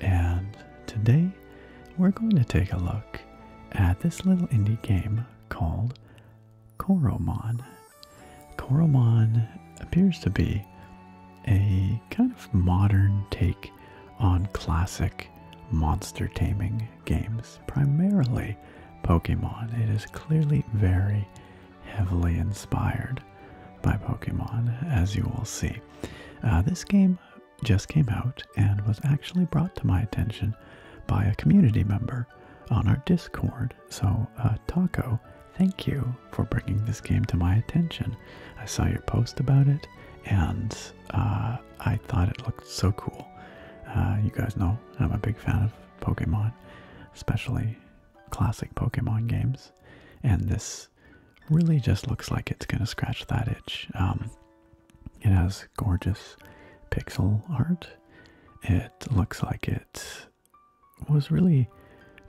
and today we're going to take a look at this little indie game called Koromon. Koromon appears to be a kind of modern take on classic monster taming games, primarily Pokemon. It is clearly very heavily inspired by Pokemon, as you will see. Uh, this game just came out and was actually brought to my attention by a community member on our Discord. So, uh, Taco, thank you for bringing this game to my attention. I saw your post about it and uh, I thought it looked so cool. you guys know I'm a big fan of Pokemon, especially classic Pokemon games, and this really just looks like it's going to scratch that itch. Um, it has gorgeous pixel art. It looks like it was really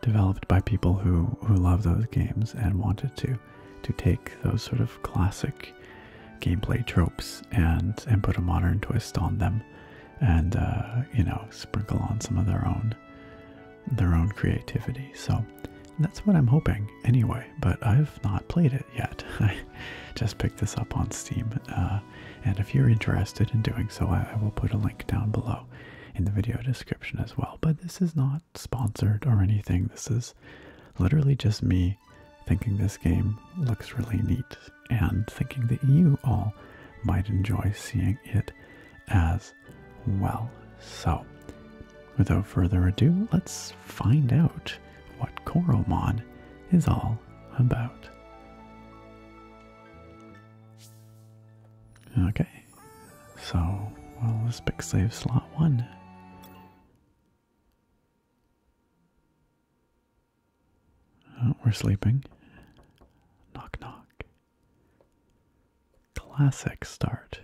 developed by people who, who love those games and wanted to to take those sort of classic gameplay tropes and and put a modern twist on them and uh, you know sprinkle on some of their own their own creativity. So that's what I'm hoping anyway, but I've not played it yet. I just picked this up on Steam. Uh, and if you're interested in doing so, I will put a link down below in the video description as well. But this is not sponsored or anything. This is literally just me thinking this game looks really neat and thinking that you all might enjoy seeing it as well. So, without further ado, let's find out what Coromon is all about. Okay, so well, this big pick save slot one. Oh, we're sleeping. Knock, knock classic start.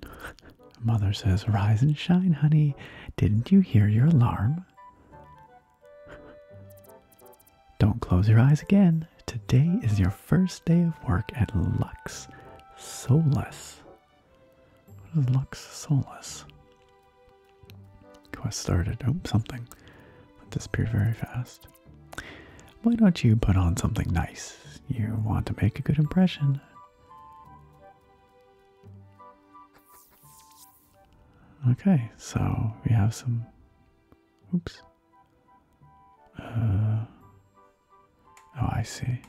Mother says, Rise and shine, honey. Didn't you hear your alarm? Don't close your eyes again. Today is your first day of work at Lux Solus. Lux Solus? Quest started. Oh, something. That disappeared very fast. Why don't you put on something nice? You want to make a good impression. Okay, so we have some. Oops. Uh, oh, I see.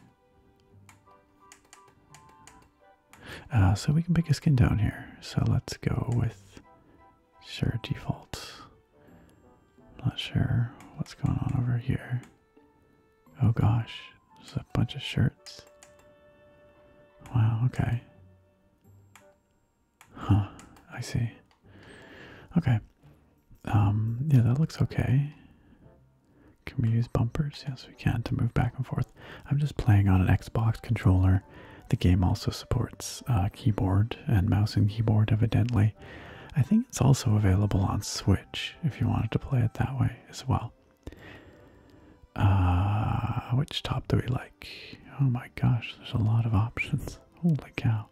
Uh, so we can pick a skin down here. So let's go with sure default. Not sure what's going on over here. Oh gosh, there's a bunch of shirts. Wow, okay. Huh, I see. Okay. Um, yeah, that looks okay. Can we use bumpers? Yes, we can to move back and forth. I'm just playing on an Xbox controller. The game also supports uh, keyboard and mouse and keyboard, evidently. I think it's also available on Switch if you wanted to play it that way as well. Uh, which top do we like? Oh my gosh, there's a lot of options. Holy cow.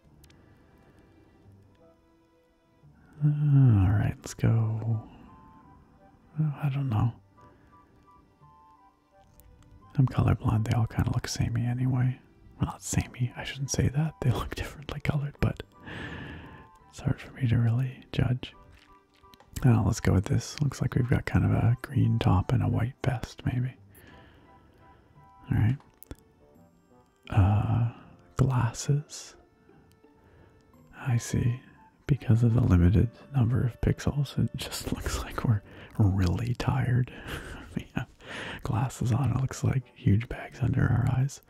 Uh, Alright, let's go. Oh, I don't know. I'm colorblind, they all kind of look samey anyway. Well, not samey, I shouldn't say that. They look differently colored, but it's hard for me to really judge. Now, oh, let's go with this. Looks like we've got kind of a green top and a white vest, maybe. Alright. Uh, glasses. I see. Because of the limited number of pixels. It just looks like we're really tired. we have glasses on. It looks like huge bags under our eyes.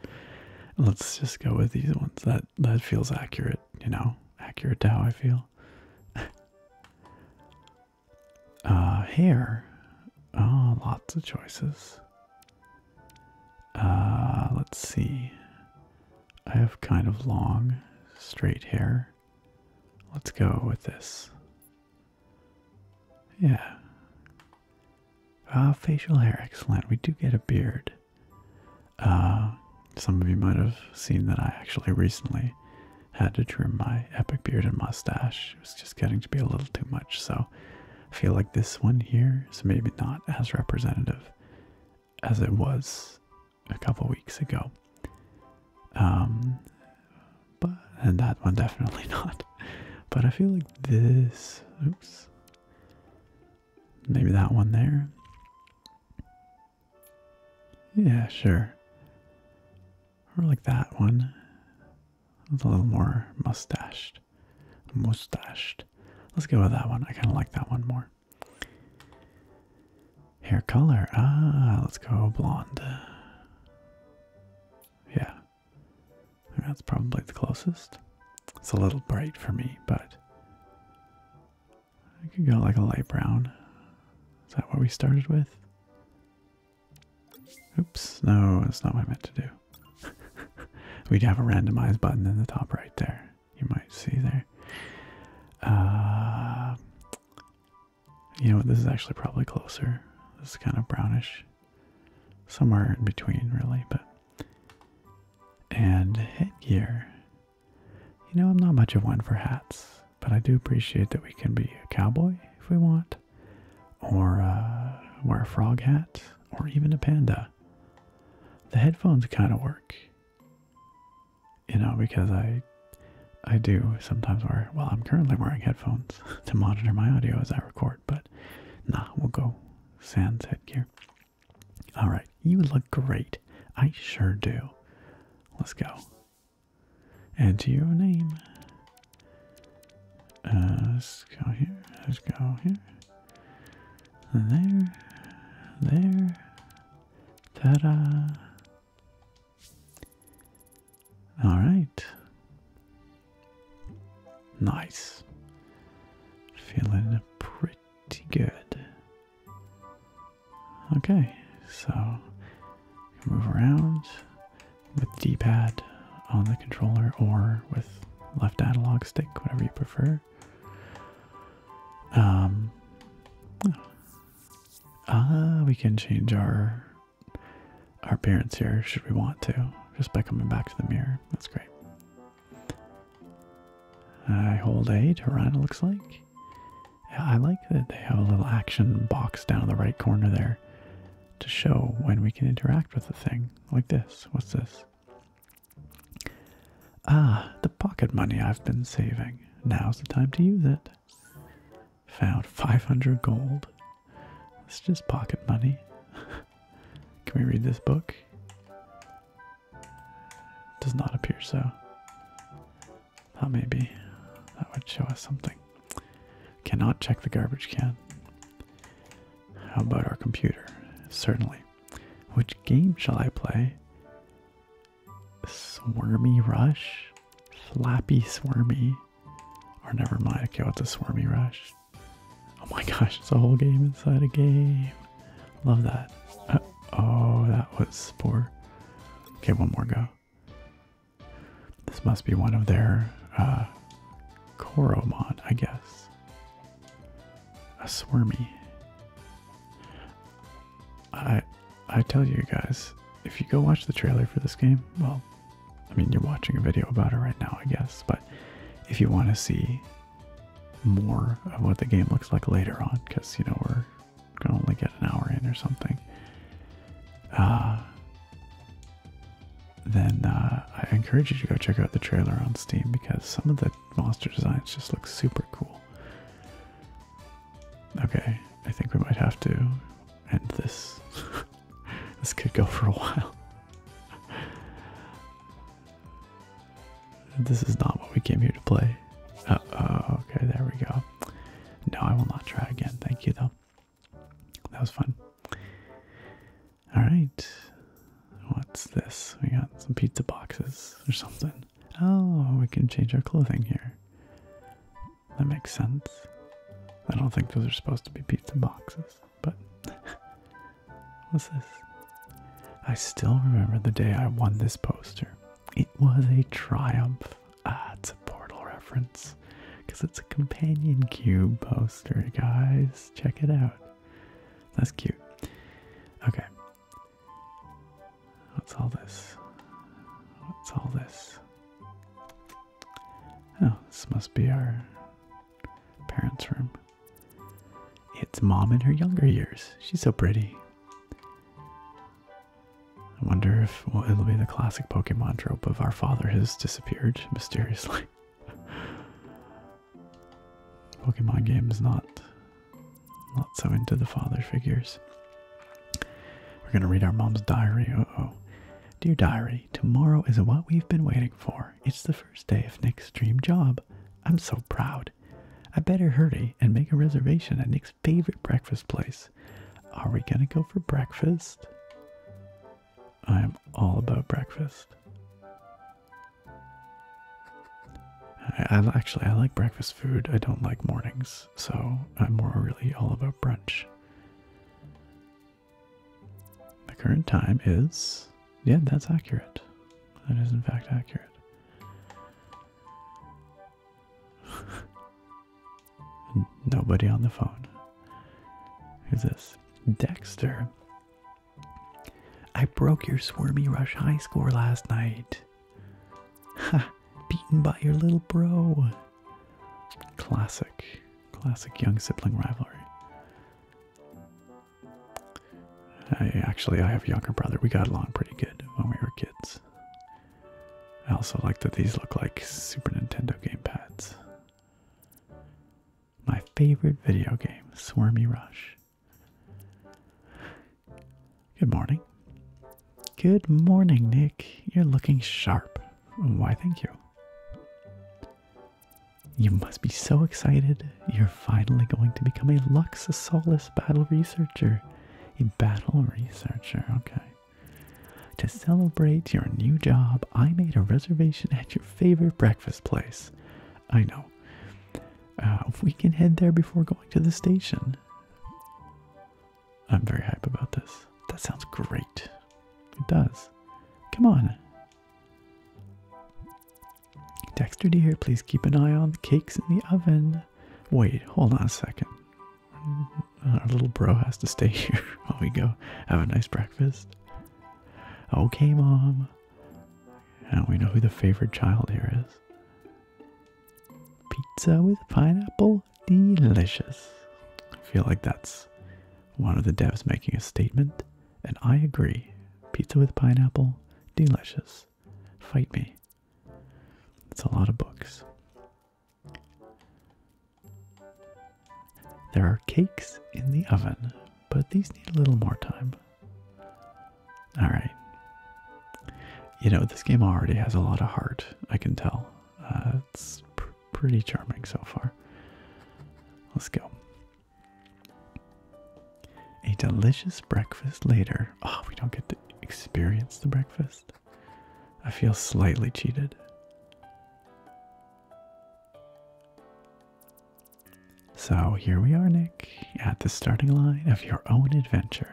Let's just go with these ones. That that feels accurate. You know, accurate to how I feel. uh, hair. Oh, lots of choices. Uh, let's see. I have kind of long, straight hair. Let's go with this. Yeah. Uh, facial hair, excellent. We do get a beard. Uh, some of you might have seen that I actually recently had to trim my epic beard and mustache. It was just getting to be a little too much, so I feel like this one here is maybe not as representative as it was a couple weeks ago. Um, but and that one definitely not. But I feel like this. Oops. Maybe that one there. Yeah, sure. Or like that one. It's a little more mustached. Mustached. Let's go with that one. I kind of like that one more. Hair color. Ah, let's go blonde. Yeah. That's probably the closest. It's a little bright for me, but I could go like a light brown. Is that what we started with? Oops, no, that's not what I meant to do. we have a randomized button in the top right there. You might see there. Uh, you know This is actually probably closer. This is kind of brownish. Somewhere in between, really, but. And headgear. You know, I'm not much of one for hats, but I do appreciate that we can be a cowboy if we want, or uh, wear a frog hat, or even a panda. The headphones kind of work you know, because I I do sometimes wear well I'm currently wearing headphones to monitor my audio as I record, but nah, we'll go sans headgear. Alright, you look great. I sure do. Let's go. And your name. Uh, let's go here. Let's go here. There. There. Ta-da. All right. Nice. Feeling pretty good. Okay, so move around with D-pad on the controller or with left analog stick, whatever you prefer. Um, Ah, we can change our our appearance here should we want to, just by coming back to the mirror. That's great. I hold eight. to looks like. I like that they have a little action box down in the right corner there to show when we can interact with the thing. Like this. What's this? Ah, the pocket money I've been saving. Now's the time to use it. Found 500 gold. It's just pocket money. Can we read this book? Does not appear so. Thought maybe that would show us something. Cannot check the garbage can. How about our computer? Certainly. Which game shall I play? Swarmy Rush? Flappy Swarmy. Or never mind. Okay, what's a Swarmy Rush? Oh my gosh, it's a whole game inside a game. Love that. oh, that was poor. Okay, one more go. This must be one of their uh, Koromon, I guess. A Swarmy. I I tell you guys, if you go watch the trailer for this game, well, I mean you're watching a video about it right now, I guess, but if you want to see more of what the game looks like later on, because you know we're gonna only get an hour in or something, uh, then uh, I encourage you to go check out the trailer on Steam because some of the monster designs just look super cool. Okay, I think we might have to and this this could go for a while. This is not what we came here to play. oh, okay, there we go. No, I will not try again. Thank you though. That was fun. Alright. What's this? We got some pizza boxes or something. Oh, we can change our clothing here. That makes sense. I don't think those are supposed to be pizza boxes, but what's this? I still remember the day I won this poster. It was a triumph. Ah, it's a portal reference because it's a companion cube poster, guys. Check it out. That's cute. Okay. What's all this? What's all this? Oh, this must be our parents' room. It's mom in her younger years. She's so pretty. I wonder if well, it'll be the classic Pokemon trope of our father has disappeared mysteriously. Pokemon games not not so into the father figures. We're going to read our mom's diary. oh. Dear diary, tomorrow is what we've been waiting for. It's the first day of Nick's dream job. I'm so proud. I better hurry and make a reservation at Nick's favorite breakfast place. Are we going to go for breakfast? I am all about breakfast. I actually I like breakfast food. I don't like mornings so I'm more really all about brunch. The current time is. Yeah, that's accurate. That is, in fact, accurate. Nobody on the phone. Who's this? Dexter. I broke your Swarmy Rush High score last night. Ha! Beaten by your little bro. Classic, classic young sibling rivalry. actually, I have a younger brother. We got along pretty good when we were kids. I also like that these look like Super Nintendo game pads. My favorite video game, Swarmy Rush. Good morning. Good morning, Nick. You're looking sharp. Why, thank you. You must be so excited. You're finally going to become a Lux Solace battle researcher. A battle researcher, okay. To celebrate your new job, I made a reservation at your favorite breakfast place. I know. Uh, we can head there before going to the station. I'm very hype about this. That sounds great. It does. Come on. Dexter dear, please keep an eye on the cakes in the oven. Wait, hold on a second. Mm, our little bro has to stay here while we go have a nice breakfast. Okay, Mom. Now we know who the favorite child here is. Pizza with pineapple? delicious. I feel like that's one of the devs making a statement, and I agree. Pizza with pineapple, delicious. Fight me. It's a lot of books. There are cakes in the oven, but these need a little more time. Alright. You know, this game already has a lot of heart, I can tell. Uh, it's pretty charming so far. Let's go. A delicious breakfast later. Oh, we don't get to experience the breakfast. I feel slightly cheated. So here we are, Nick, at the starting line of your own adventure.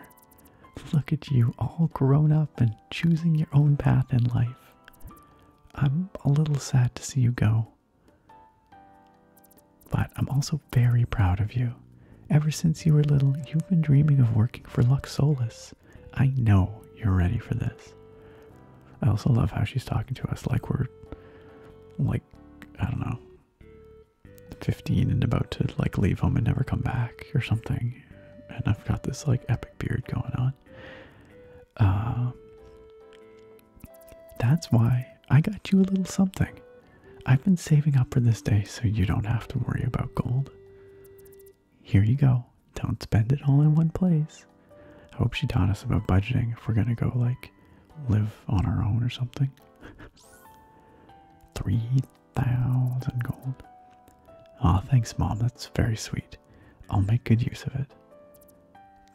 Look at you all grown up and choosing your own path in life. I'm a little sad to see you go. But I'm also very proud of you. Ever since you were little, you've been dreaming of working for Luxolus. I know you're ready for this. I also love how she's talking to us like we're, like, I don't know, 15 and about to, like, leave home and never come back or something. And I've got this, like, epic beard going on. Uh, that's why I got you a little something. I've been saving up for this day so you don't have to worry about gold. Here you go. Don't spend it all in one place. I hope she taught us about budgeting if we're going to go, like, live on our own or something. 3,000 gold. Aw, thanks, Mom. That's very sweet. I'll make good use of it.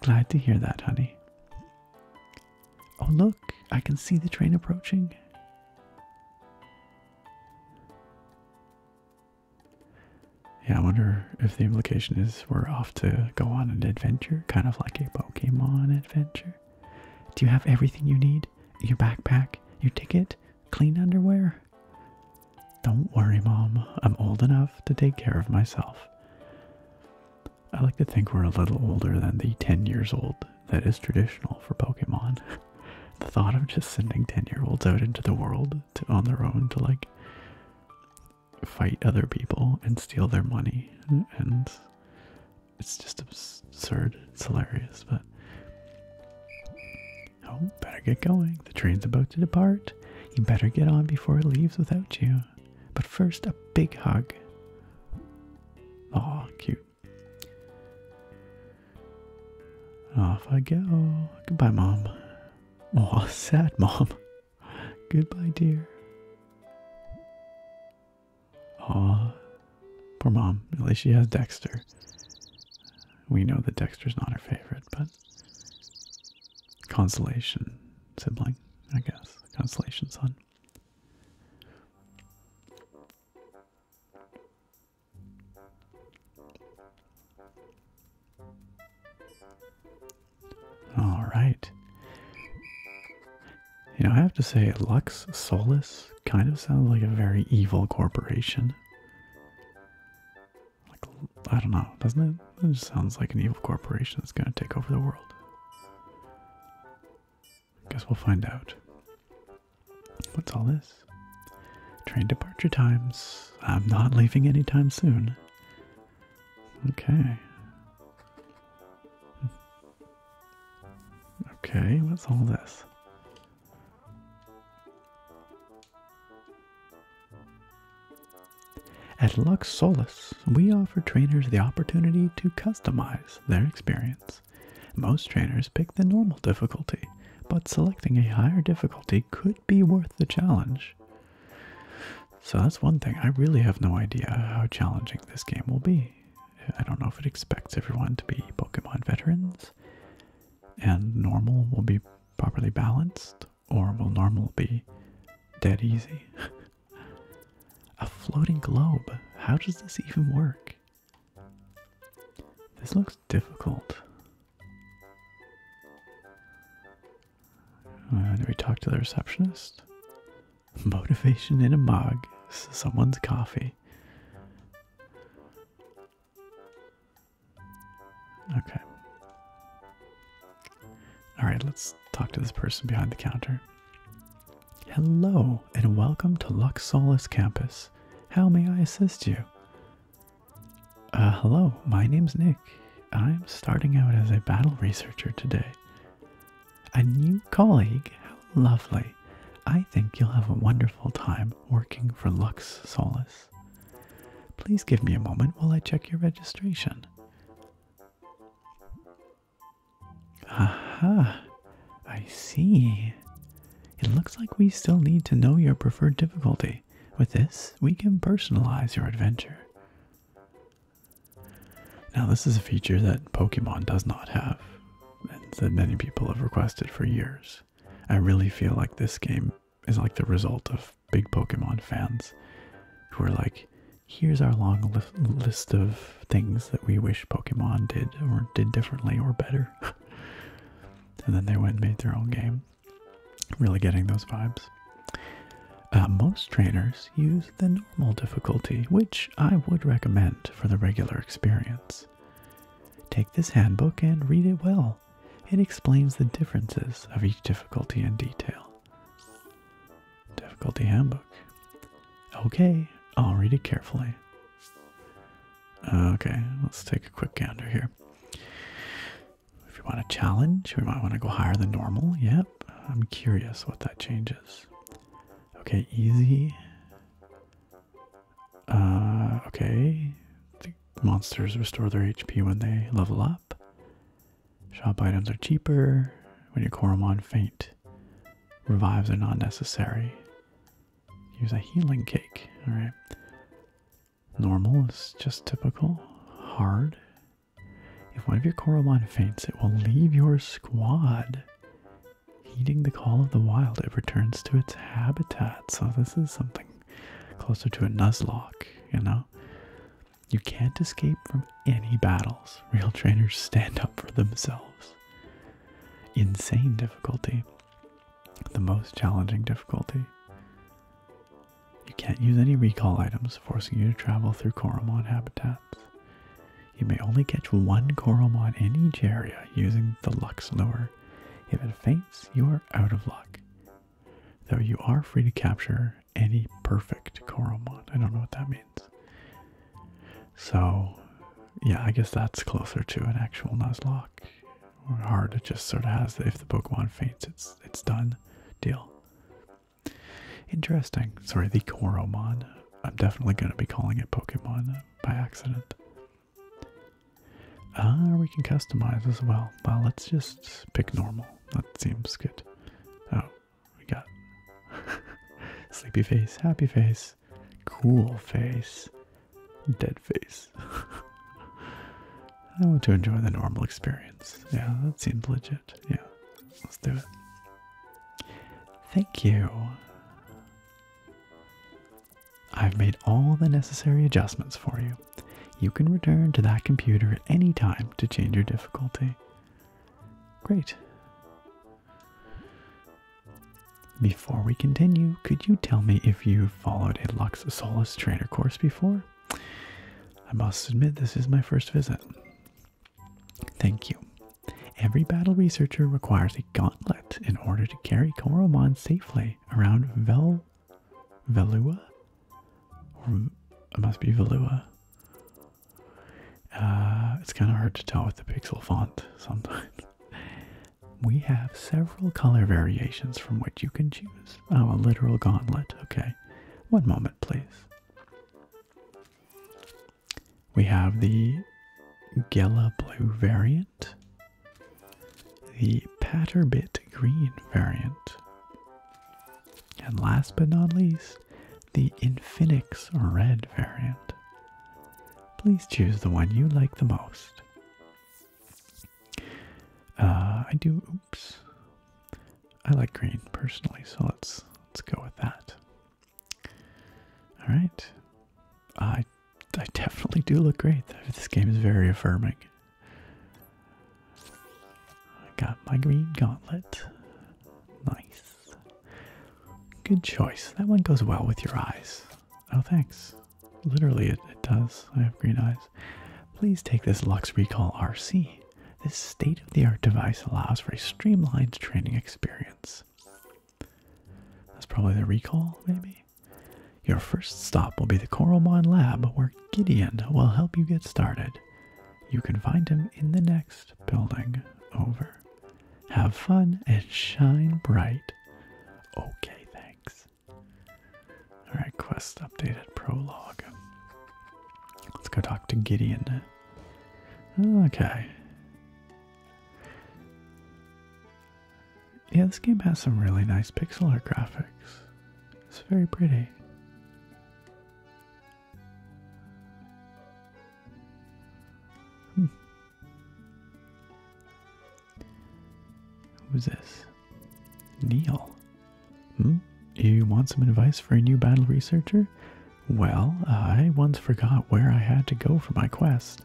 Glad to hear that, honey. Oh, look, I can see the train approaching. Yeah, I wonder if the implication is we're off to go on an adventure, kind of like a Pokemon adventure. Do you have everything you need? Your backpack, your ticket, clean underwear? Don't worry, Mom. I'm old enough to take care of myself. I like to think we're a little older than the 10 years old that is traditional for Pokemon. the thought of just sending 10 year olds out into the world on their own to like fight other people and steal their money and it's just absurd. It's hilarious, but Oh, better get going. The train's about to depart. You better get on before it leaves without you. But first, a big hug. Aw, cute. Off I go. Goodbye, Mom. Oh, sad Mom. Goodbye, dear. Aw, poor Mom. At least she has Dexter. We know that Dexter's not her favorite, but consolation sibling, I guess. Constellation son. All right. You know, I have to say, Lux Solis kind of sounds like a very evil corporation. Like, I don't know, doesn't it? It just sounds like an evil corporation that's going to take over the world. Guess we'll find out. What's all this? Train departure times. I'm not leaving anytime soon. Okay. Hmm. Okay, what's all this? At Lux Solis, we offer trainers the opportunity to customize their experience. Most trainers pick the normal difficulty, but selecting a higher difficulty could be worth the challenge. So that's one thing. I really have no idea how challenging this game will be. I don't know if it expects everyone to be Pokemon veterans, and normal will be properly balanced or will normal be dead easy. A floating globe. How does this even work? This looks difficult. Uh, we talk to the receptionist? Motivation in a mug. Someone's coffee. Okay. All right, let's talk to this person behind the counter. Hello, and welcome to Lux Luxolus campus. How may I assist you? Uh, hello, my name's Nick. I'm starting out as a battle researcher today. A new colleague? How lovely. I think you'll have a wonderful time working for Lux Solus. Please give me a moment while I check your registration. ha! I see. It looks like we still need to know your preferred difficulty. With this, we can personalize your adventure. Now, this is a feature that Pokemon does not have, and that many people have requested for years. I really feel like this game is like the result of big Pokemon fans who are like, here's our long list of things that we wish Pokemon did or did differently or better. and then they went and made their own game. Really getting those vibes. Uh, most trainers use the normal difficulty, which I would recommend for the regular experience. Take this handbook and read it well it explains the differences of each difficulty in detail. Difficulty handbook. Okay, I'll read it carefully. Okay, let's take a quick counter here. If you want a challenge, we might want to go higher than normal. Yep, I'm curious what that changes. Okay, easy. Uh, okay. Monsters restore their HP when they level up. Shop items are cheaper. When your Koromon faint, revives are not necessary. Use a healing cake. Alright. Normal is just typical. Hard. If one of your Koromon faints, it will leave your squad. Heeding the call of the wild, it returns to its habitat. So this is something closer to a Nuzlocke, you know? You can't escape from any battles. Real trainers stand up for themselves. Insane difficulty. The most challenging difficulty. You can't use any recall items, forcing you to travel through Koromon habitats. You may only catch one Koromon in each area using the Lux Lure. If it faints, you are out of luck though you are free to capture any perfect Coromon. I don't know what that means. So, yeah, I guess that's closer to an actual Nuzlocke. hard, to just sort of has if the Pokemon faints, it's it's done deal. Interesting. Sorry, the Coromon. I'm definitely going to be calling it Pokemon by accident. Ah, we can customize as well. Well, let's just pick normal. That seems good. Oh, we got sleepy face, happy face, cool face, dead face. I want to enjoy the normal experience. Yeah, that seems legit. Yeah, let's do it. Thank you. I've made all the necessary adjustments for you you can return to that computer at any time to change your difficulty. Great. Before we continue, could you tell me if you followed a Lux Solus trainer course before? I must admit, this is my first visit. Thank you. Every battle researcher requires a gauntlet in order to carry Koromon safely around Vel Valua? Or it must be Valua. Uh, it's kind of hard to tell with the pixel font sometimes. We have several color variations from which you can choose. Oh, a literal gauntlet. Okay. One moment, please. We have the Gela Blue variant, the Patterbit Green variant, and last but not least, the Infinix Red variant. Please choose the one you like the most. Uh, I do. Oops, I like green personally, so let's let's go with that. All right, I I definitely do look great. This game is very affirming. I got my green gauntlet. Nice. Good choice. That one goes well with your eyes. Oh, thanks. Literally, it, does. I have green eyes. Please take this Lux Recall RC. This state of the art device allows for a streamlined training experience. That's probably the recall, maybe? Your first stop will be the Coral Coralmon Lab, where Gideon will help you get started. You can find him in the next building over. Have fun and shine bright. Okay, thanks. Alright, quest updated prologue. Let's go talk to Gideon. Okay. Yeah, this game has some really nice pixel art graphics. It's very pretty. Hmm. Who's this? Neil. Hmm? You want some advice for a new battle researcher? Well, I once forgot where I had to go for my quest,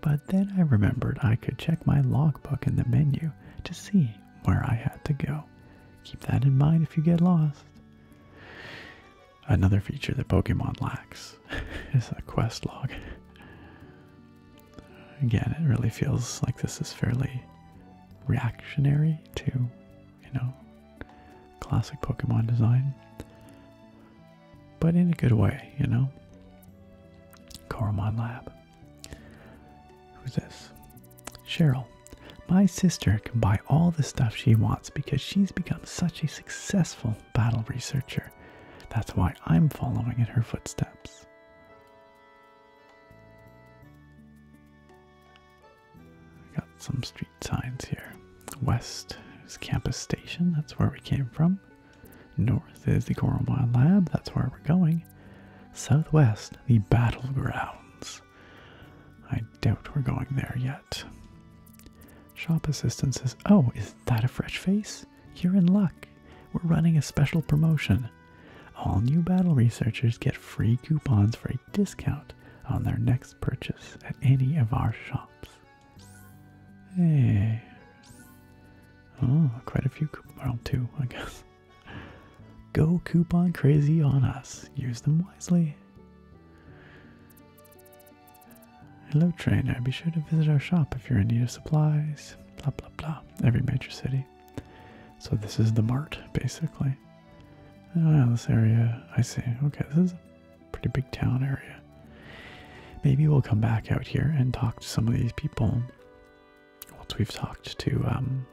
but then I remembered I could check my logbook in the menu to see where I had to go keep that in mind if you get lost. Another feature that Pokemon lacks is a quest log. Again, it really feels like this is fairly reactionary to, you know, classic Pokemon design, but in a good way, you know. Coromon Lab. Who's this? Cheryl. My sister can buy all the stuff she wants because she's become such a successful battle researcher. That's why I'm following in her footsteps. I got some street signs here. West is Campus Station, that's where we came from. North is the Coromon Lab, that's where we're going. Southwest, the battleground. I doubt we're going there yet. Shop assistant says, Oh, is that a fresh face? You're in luck. We're running a special promotion. All new battle researchers get free coupons for a discount on their next purchase at any of our shops. Hey. Oh, quite a few coupons. Well, two, I guess. Go coupon crazy on us. Use them wisely. Hello, trainer. Be sure to visit our shop if you're in need of supplies. Blah, blah, blah. Every major city. So, this is the mart, basically. Oh, yeah, this area. I see. Okay, this is a pretty big town area. Maybe we'll come back out here and talk to some of these people once we've talked to um,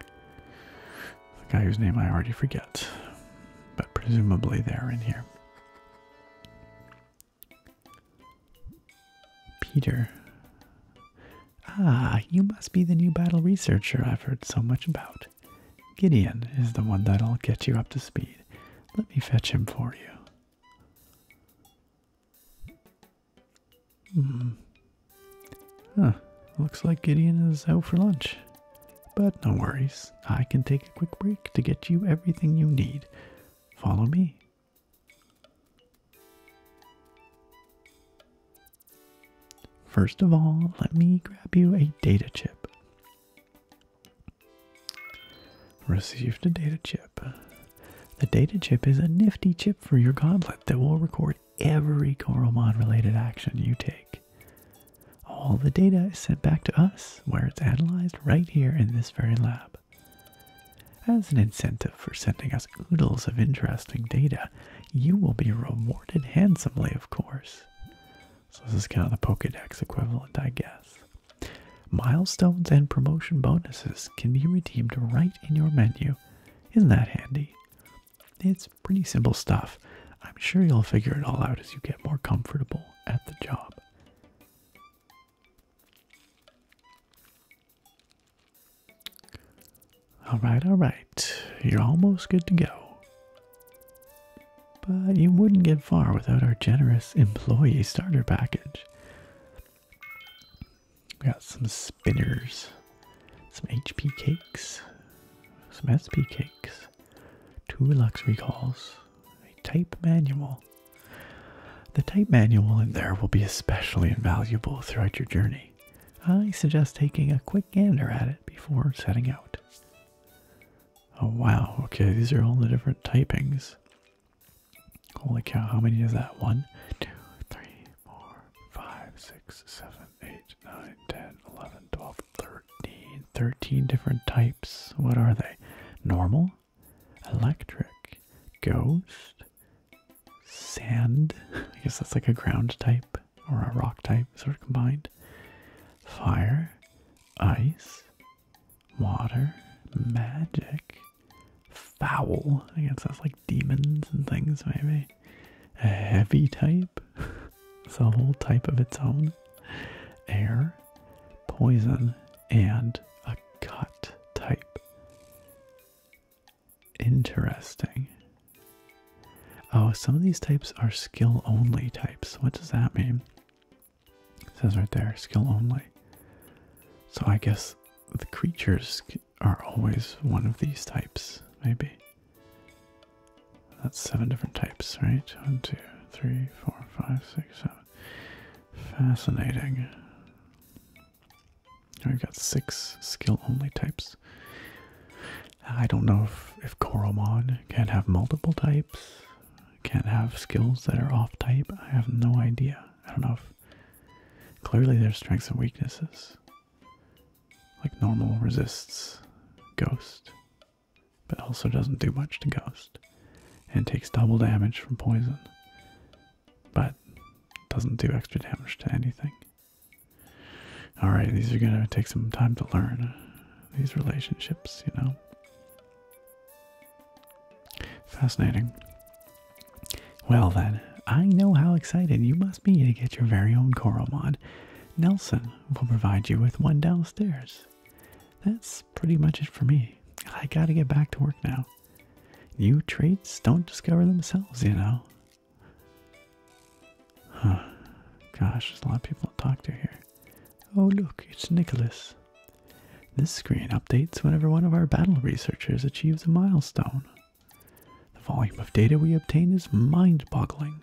the guy whose name I already forget, but presumably they're in here. Peter. Ah, you must be the new battle researcher I've heard so much about. Gideon is the one that'll get you up to speed. Let me fetch him for you. Hmm. Looks like Gideon is out for lunch. But no worries. I can take a quick break to get you everything you need. Follow me. First of all, let me grab you a data chip. Received a data chip. The data chip is a nifty chip for your goblet that will record every Koromon related action you take. All the data is sent back to us, where it's analyzed right here in this very lab. As an incentive for sending us oodles of interesting data, you will be rewarded handsomely, of course. So, this is kind of the Pokedex equivalent, I guess. Milestones and promotion bonuses can be redeemed right in your menu. Isn't that handy? It's pretty simple stuff. I'm sure you'll figure it all out as you get more comfortable at the job. All right, all right. You're almost good to go. But you wouldn't get far without our generous employee starter package. We got some spinners, some HP cakes, some SP cakes, two luxury calls, a type manual. The type manual in there will be especially invaluable throughout your journey. I suggest taking a quick gander at it before setting out. Oh wow, okay, these are all the different typings. Holy cow, how many is that? One, two, three, four, five, six, seven, 8, 9, 13 different types. What are they? Normal, electric, ghost, sand. I guess that's like a ground type or a rock type, sort of combined. Fire, ice, water, magic, foul. I guess that's like demons and things, maybe. A heavy type? it's a whole type of its own. Air, poison, and a cut type. Interesting. Oh, some of these types are skill only types. What does that mean? says right there, skill only. So I guess the creatures are always one of these types, maybe. That's seven different types, right? One, two, three, four, five, six, seven. Fascinating. We've got six skill only types. I don't know if, if Koromon can have multiple types, can't have skills that are off type. I have no idea. I don't know Clearly, there's strengths and weaknesses. Like normal resists ghost, but also doesn't do much to ghost and takes double damage from poison, but doesn't do extra damage to anything. Alright, these are gonna take some time to learn these relationships, you know. Fascinating. Well, then, I know how excited you must be to get your very own coral mod. Nelson will provide you with one downstairs. That's pretty much it for me. I gotta get back to work now. New traits don't discover themselves, you know. Huh. Gosh, there's a lot of people to talk to here. Oh, look, it's Nicholas. This screen updates whenever one of our battle researchers achieves a milestone. The volume of data we obtain is mind boggling.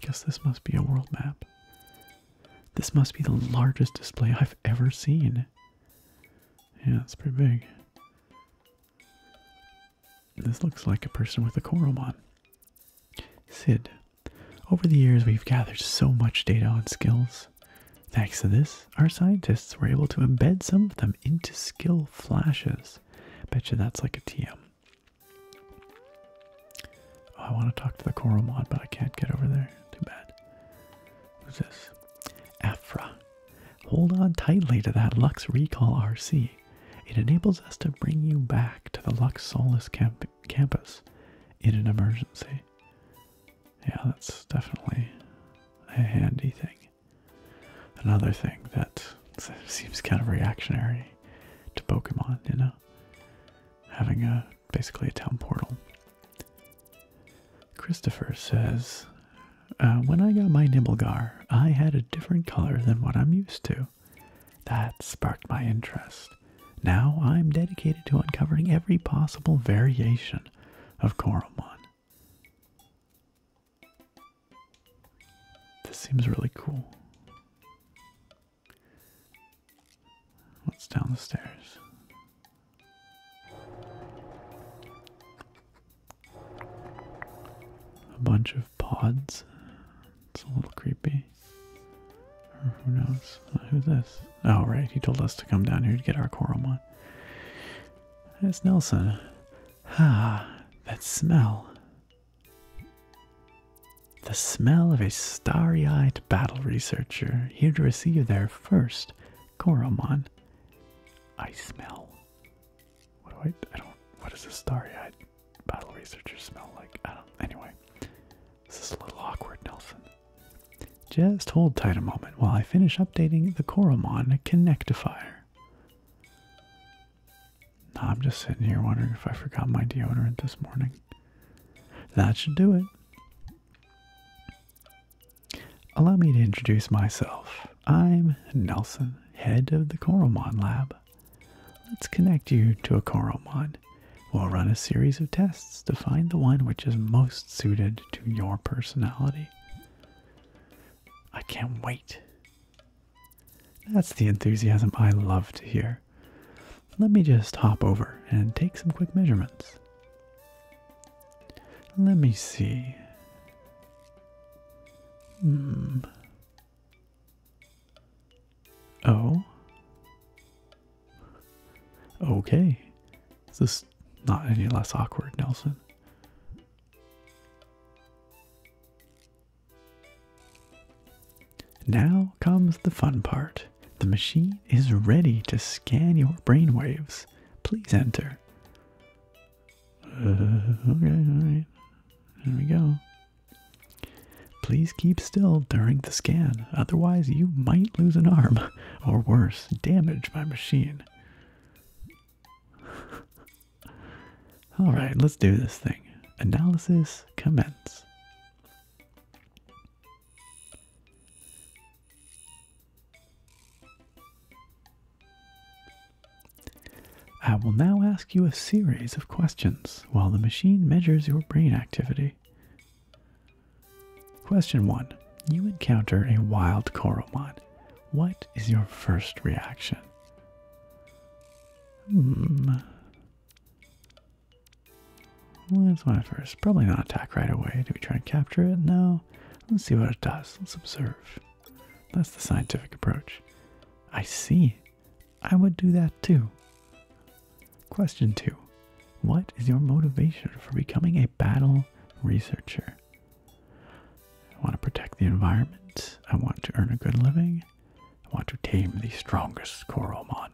Guess this must be a world map. This must be the largest display I've ever seen. Yeah, it's pretty big. This looks like a person with a Koromon. Sid, over the years we've gathered so much data on skills. Thanks to this, our scientists were able to embed some of them into skill flashes. Bet you that's like a TM. Oh, I want to talk to the coral mod, but I can't get over there. Too bad. Who's this? Afra. Hold on tightly to that Lux Recall RC. It enables us to bring you back to the Lux Solus campus in an emergency. Yeah, that's definitely a handy thing. Another thing that seems kind of reactionary to Pokemon, you know? Having a basically a town portal. Christopher says, uh, When I got my Nibblegar, I had a different color than what I'm used to. That sparked my interest. Now I'm dedicated to uncovering every possible variation of Coromon. This seems really cool. What's down the stairs? A bunch of pods. It's a little creepy. Or who knows? Uh, who's this? Oh, right. He told us to come down here to get our Koromon. There's Nelson. Ah, that smell. The smell of a starry eyed battle researcher here to receive their first Koromon. I smell. What do I. I don't. What does a starry eyed battle researcher smell like? I don't. Anyway, this is a little awkward, Nelson. Just hold tight a moment while I finish updating the Koromon Connectifier. I'm just sitting here wondering if I forgot my deodorant this morning. That should do it. Allow me to introduce myself. I'm Nelson, head of the Coromon Lab. Let's connect you to a Coromon. We'll run a series of tests to find the one which is most suited to your personality. I can't wait. That's the enthusiasm I love to hear. Let me just hop over and take some quick measurements. Let me see. Hmm. Oh. Okay. Is This not any less awkward, Nelson. Now comes the fun part. The machine is ready to scan your brainwaves. Please enter. Uh, okay, alright. There we go. Please keep still during the scan, otherwise, you might lose an arm, or worse, damage my machine. All right, let's do this thing. Analysis commence. I will now ask you a series of questions while the machine measures your brain activity. Question 1. You encounter a wild coral mon what is your first reaction? Hmm. Well, that's my first. Probably not attack right away. Do we try and capture it? No. Let's see what it does. Let's observe. That's the scientific approach. I see. I would do that too. Question two What is your motivation for becoming a battle researcher? I want to protect the environment. I want to earn a good living. I want to tame the strongest Koromon.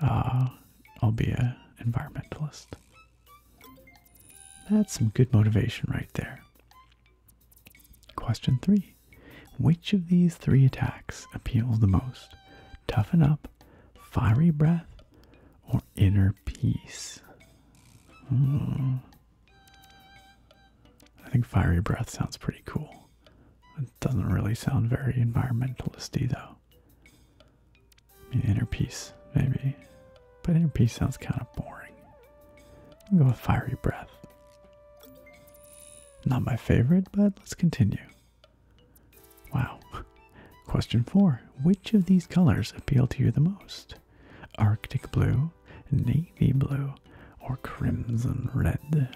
Uh, ah, I'll be an environmentalist. That's some good motivation right there. Question three Which of these three attacks appeals the most? Toughen up, fiery breath, or inner peace? Mm. I think fiery breath sounds pretty cool. It doesn't really sound very environmentalisty though. inner peace, maybe. But inner peace sounds kind of boring. I'll go with fiery breath. Not my favorite, but let's continue. Wow. Question four Which of these colors appeal to you the most? Arctic blue, navy blue, or crimson red.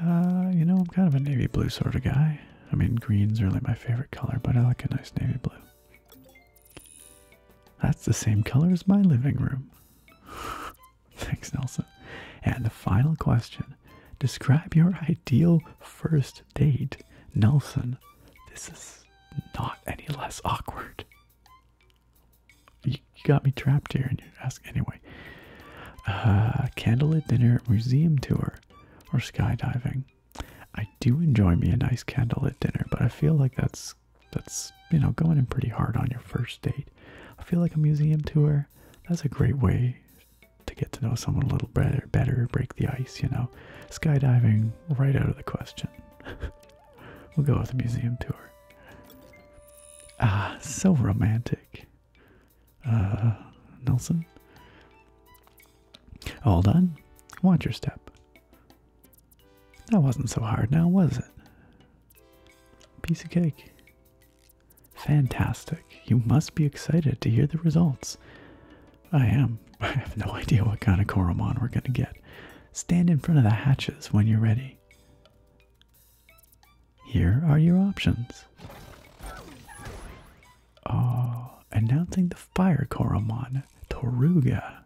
Uh, you know, I'm kind of a navy blue sort of guy. I mean, green's really my favorite color, but I like a nice navy blue. That's the same color as my living room. Thanks, Nelson. And the final question Describe your ideal first date, Nelson. This is not any less awkward. You got me trapped here, and you ask anyway. Uh, candlelit dinner, museum tour, or skydiving. I do enjoy me a nice candlelit dinner, but I feel like that's that's you know going in pretty hard on your first date. I feel like a museum tour. That's a great way to get to know someone a little better, better break the ice. You know, skydiving right out of the question. we'll go with a museum tour. Ah, so romantic. Uh, Nelson? All done. Watch your step. That wasn't so hard now, was it? Piece of cake. Fantastic. You must be excited to hear the results. I am. I have no idea what kind of Koromon we're going to get. Stand in front of the hatches when you're ready. Here are your options. Oh, announcing the fire Koromon, Toruga.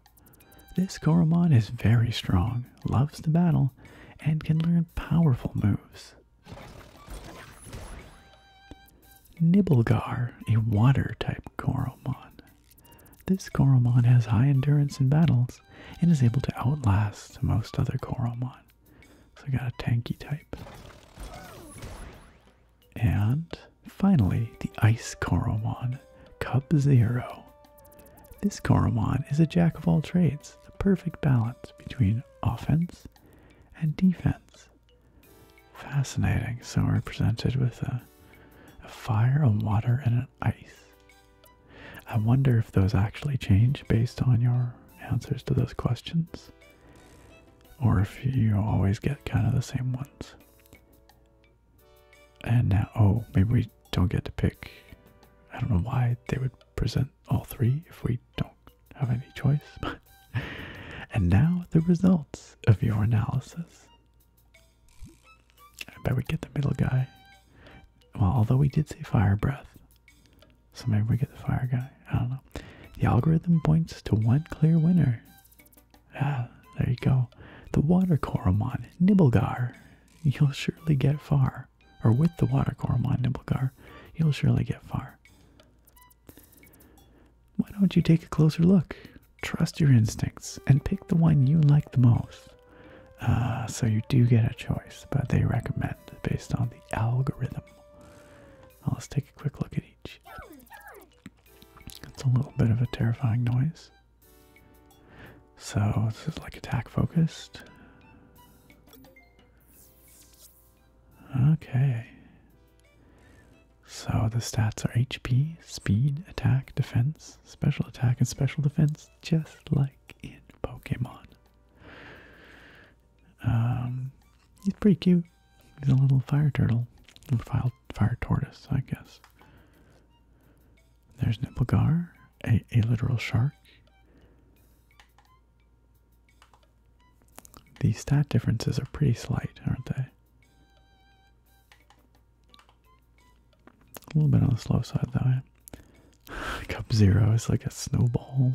This Koromon is very strong, loves to battle, and can learn powerful moves. Nibblegar, a water type Koromon. This Koromon has high endurance in battles and is able to outlast most other Koromon. So I got a tanky type. And finally, the Ice Koromon, Cub Zero. This Koromon is a jack of all trades, the perfect balance between offense and defense. Fascinating. So we're presented with a, fire, a water, and an ice. I wonder if those actually change based on your answers to those questions, or if you always get kind of the same ones. And now, oh, maybe we don't get to pick. I don't know why they would present all three if we don't have any choice. and now the results of your analysis. I bet we get the middle guy. Well, although we did say fire breath. So maybe we get the fire guy. I don't know. The algorithm points to one clear winner. Ah, there you go. The water Koromon, nibelgar, You'll surely get far. Or with the water Koromon, nibelgar, you'll surely get far. Why don't you take a closer look? Trust your instincts and pick the one you like the most. Uh, so you do get a choice, but they recommend based on the algorithm. let's take a quick look at each. It's a little bit of a terrifying noise. So this is like attack focused. Okay. So the stats are HP, speed, attack, defense, special attack, and special defense, just like in Pokemon. Um, he's pretty cute. He's a little fire turtle, little fire, tortoise, I guess. There's Nipplegar, a literal shark. The stat differences are pretty slight, aren't they? A little bit on the slow side, though. Eh? Cub Zero is like a snowball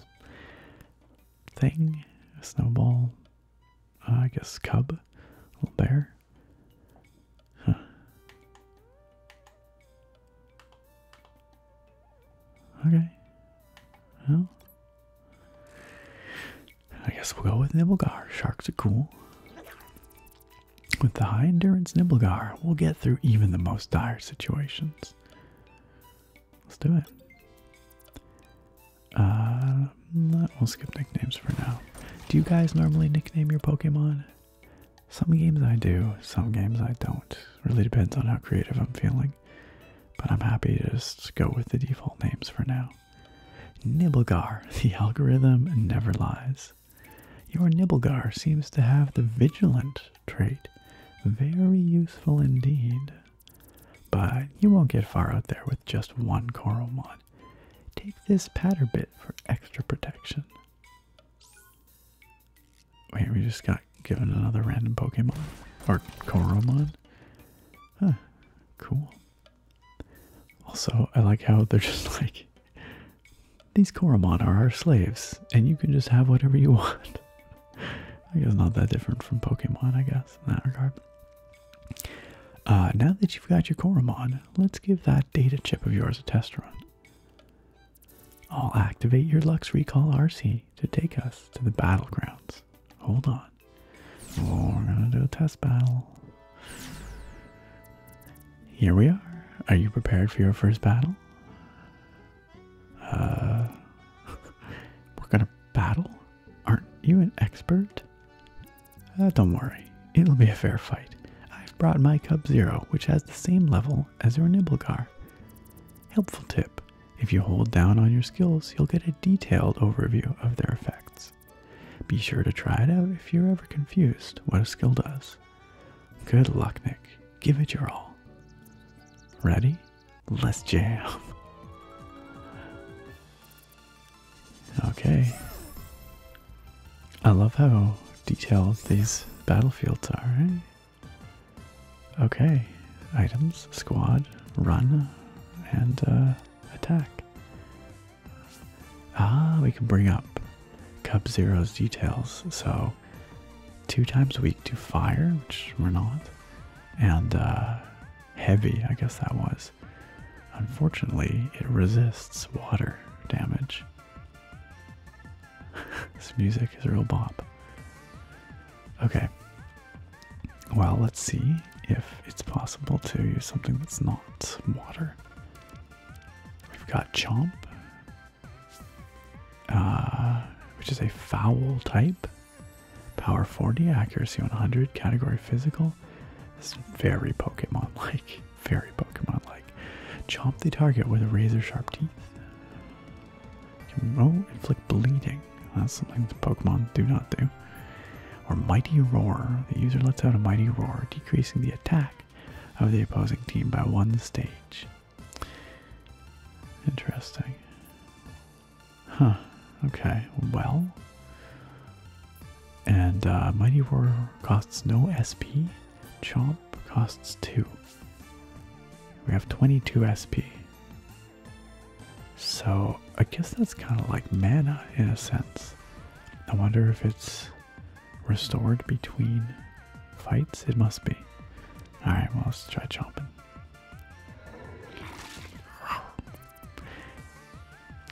thing. A snowball, uh, I guess, cub. Little bear. Okay. Well. I guess we'll go with Nibblegar. Sharks are cool. With the high endurance Nibblegar, we'll get through even the most dire situations. Let's do it. Uh, mm, we'll skip nicknames for now. Do you guys normally nickname your Pokemon? Some games I do, some games I don't. Really depends on how creative I'm feeling. But I'm happy to just go with the default names for now. Nibblegar, the algorithm never lies. Your Nibblegar seems to have the vigilant trait. Very useful indeed. But you won't get far out there with just one coral Take this Patterbit for extra protection. Wait, we just got given another random Pokemon. Or Koromon. Huh, cool. Also, I like how they're just like, these Koromon are our slaves, and you can just have whatever you want. I guess not that different from Pokemon, I guess, in that regard. Uh, now that you've got your Koromon, let's give that data chip of yours a test run. I'll activate your Lux Recall RC to take us to the battlegrounds. Hold on. we're gonna do a test battle. Here we are. Are you prepared for your first battle? Uh, we're gonna battle? Aren't you an expert? Uh, don't worry, it'll be a fair fight. I've brought my Cub Zero, which has the same level as your Nibblegar. Helpful tip if you hold down on your skills, you'll get a detailed overview of their effects. Be sure to try it out if you're ever confused what a skill does. Good luck, Nick. Give it your all. Ready? Let's jam. Okay. I love how detailed these battlefields are. Eh? Okay. Items, squad, run, and uh, attack. Ah, we can bring up Cub Zero's details. So, two times a week to fire, which we're not, and uh, heavy, I guess that was. Unfortunately, it resists water damage. this music is real bop. Okay. Well, let's see if it's possible to use something that's not water. We've got Chomp, uh, which is a foul type. Power 40, accuracy 100, category physical. It's very Pokemon like. Very Pokemon like. Chomp the target with a razor sharp teeth. Can, oh, inflict bleeding. That's something the Pokemon do not do or Mighty Roar. The user lets out a mighty roar, decreasing the attack of the opposing team by one stage. Interesting. Huh. Okay. Well. And uh, Mighty Roar costs no SP. Chomp costs 2. We have 22 SP. So I guess that's kind of like mana in a sense. I wonder if it's Restored between fights? It must be. Alright, well, let's try chomping.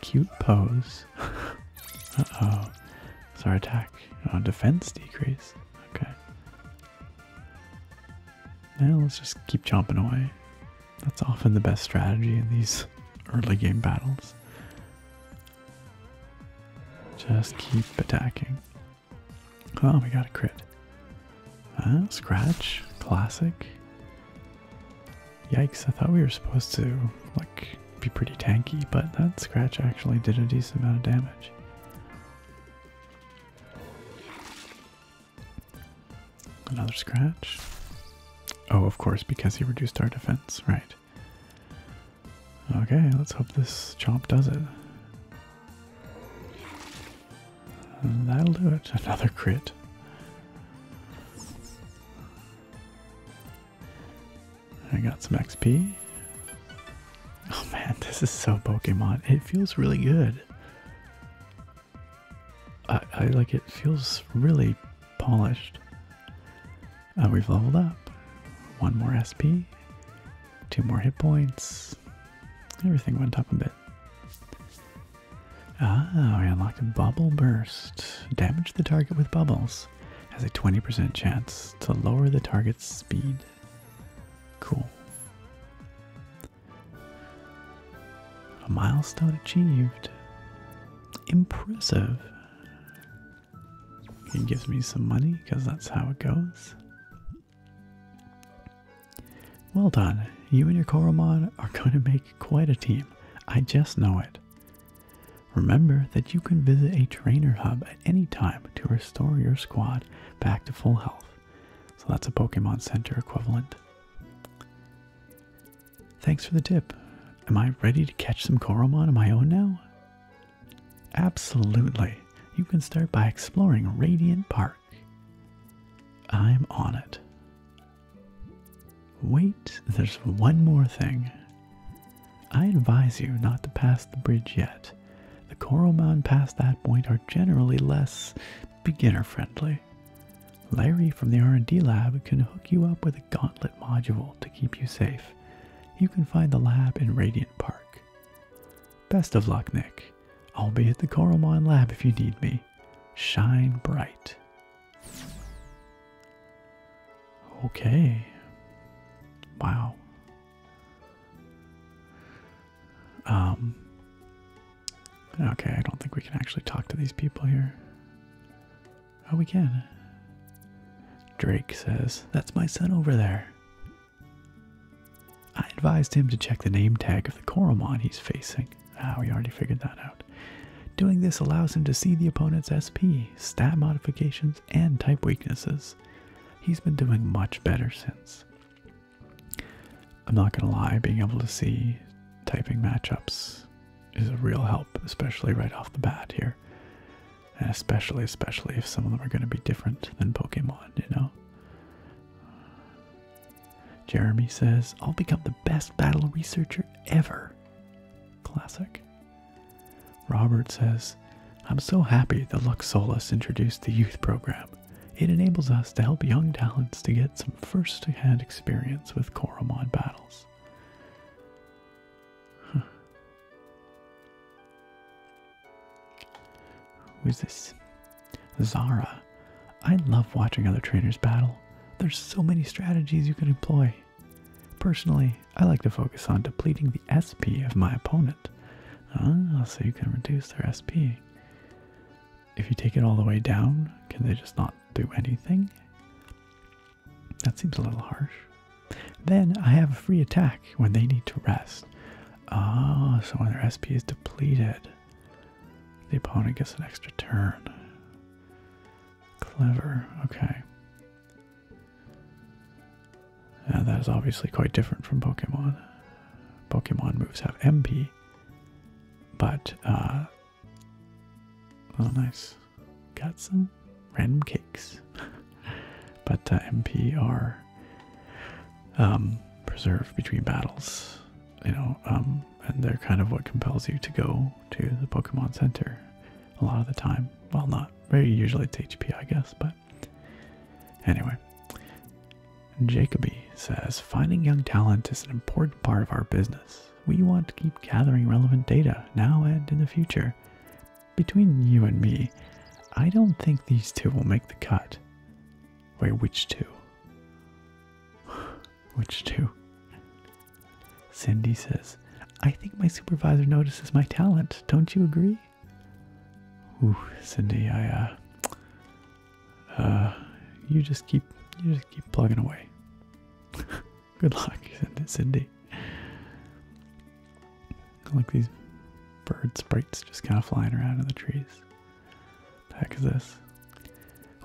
Cute pose. uh oh. Sorry, attack. defense decreased. Okay. Now let's just keep chomping away. That's often the best strategy in these early game battles. Just keep attacking. Oh, we got a crit. scratch, classic. Yikes, I thought we were supposed to, like, be pretty tanky, but that scratch actually did a decent amount of damage. Another scratch. Oh, of course, because he reduced our defense, right. Okay, let's hope this chomp does it. that'll do it. Another crit. I got some XP. Oh man, this is so Pokemon. It feels really good. I like it feels really polished. Uh, we've leveled up. One more SP, two more hit points. Everything went up a bit. Ah, we unlocked a Bubble Burst. Damage the target with bubbles. Has a 20% chance to lower the target's speed. Cool. A milestone achieved. Impressive. He gives me some money because that's how it goes. Well done. You and your Koromon are going to make quite a team. I just know it. Remember that you can visit a trainer hub at any time to restore your squad back to full health. So that's a Pokemon Center equivalent. Thanks for the tip. Am I ready to catch some Koromon on my own now? Absolutely. You can start by exploring Radiant Park. I'm on it. Wait, there's one more thing. I advise you not to pass the bridge yet. The Koromon past that point are generally less beginner-friendly. Larry from the R&D lab can hook you up with a gauntlet module to keep you safe you can find the lab in Radiant Park. Best of luck, Nick. I'll be at the Coralmon lab if you need me. Shine bright. Okay. Wow. Um. Okay, I don't think we can actually talk to these people here. Oh, we can. Drake says, That's my son over there. I advised him to check the name tag of the Coromon he's facing. Ah, we already figured that out. Doing this allows him to see the opponent's SP, stat modifications, and type weaknesses. He's been doing much better since. I'm not gonna lie, being able to see typing matchups is a real help, especially right off the bat here. And especially, especially if some of them are going to be different than Pokemon, you know? Jeremy says, I'll become the best battle researcher ever. Classic. Robert says, I'm so happy that Luxolus introduced the youth program. It enables us to help young talents to get some first hand experience with Koromon battles. Who is this? Zara. I love watching other trainers battle. There's so many strategies you can employ. Personally, I like to focus on depleting the SP of my opponent. Ah, so you can reduce their SP. If you take it all the way down, can they just not do anything? That seems a little harsh. Then I have a free attack when they need to rest. Ah, so when their SP is depleted, the opponent gets an extra turn. Clever, okay. Now that is obviously quite different from Pokemon. Pokemon moves have MP, but, oh, nice got some random cakes. but uh, MP are um, preserved between battles, you know, um, and they're kind of what compels you to go to the Pokemon Center a lot of the time. Well, not very usually it's HP, I guess, but anyway. Jacoby says finding young talent is an important part of our business. We want to keep gathering relevant data now and in the future between you and me, I don't think these two will make the cut. Wait, which two? Which two? Cindy says, I think my supervisor notices my talent. Don't you agree? Cindy, I, uh, uh, you just keep, you just keep plugging away. Good luck, Cindy. I like these bird sprites just kind of flying around in the trees. The heck is this?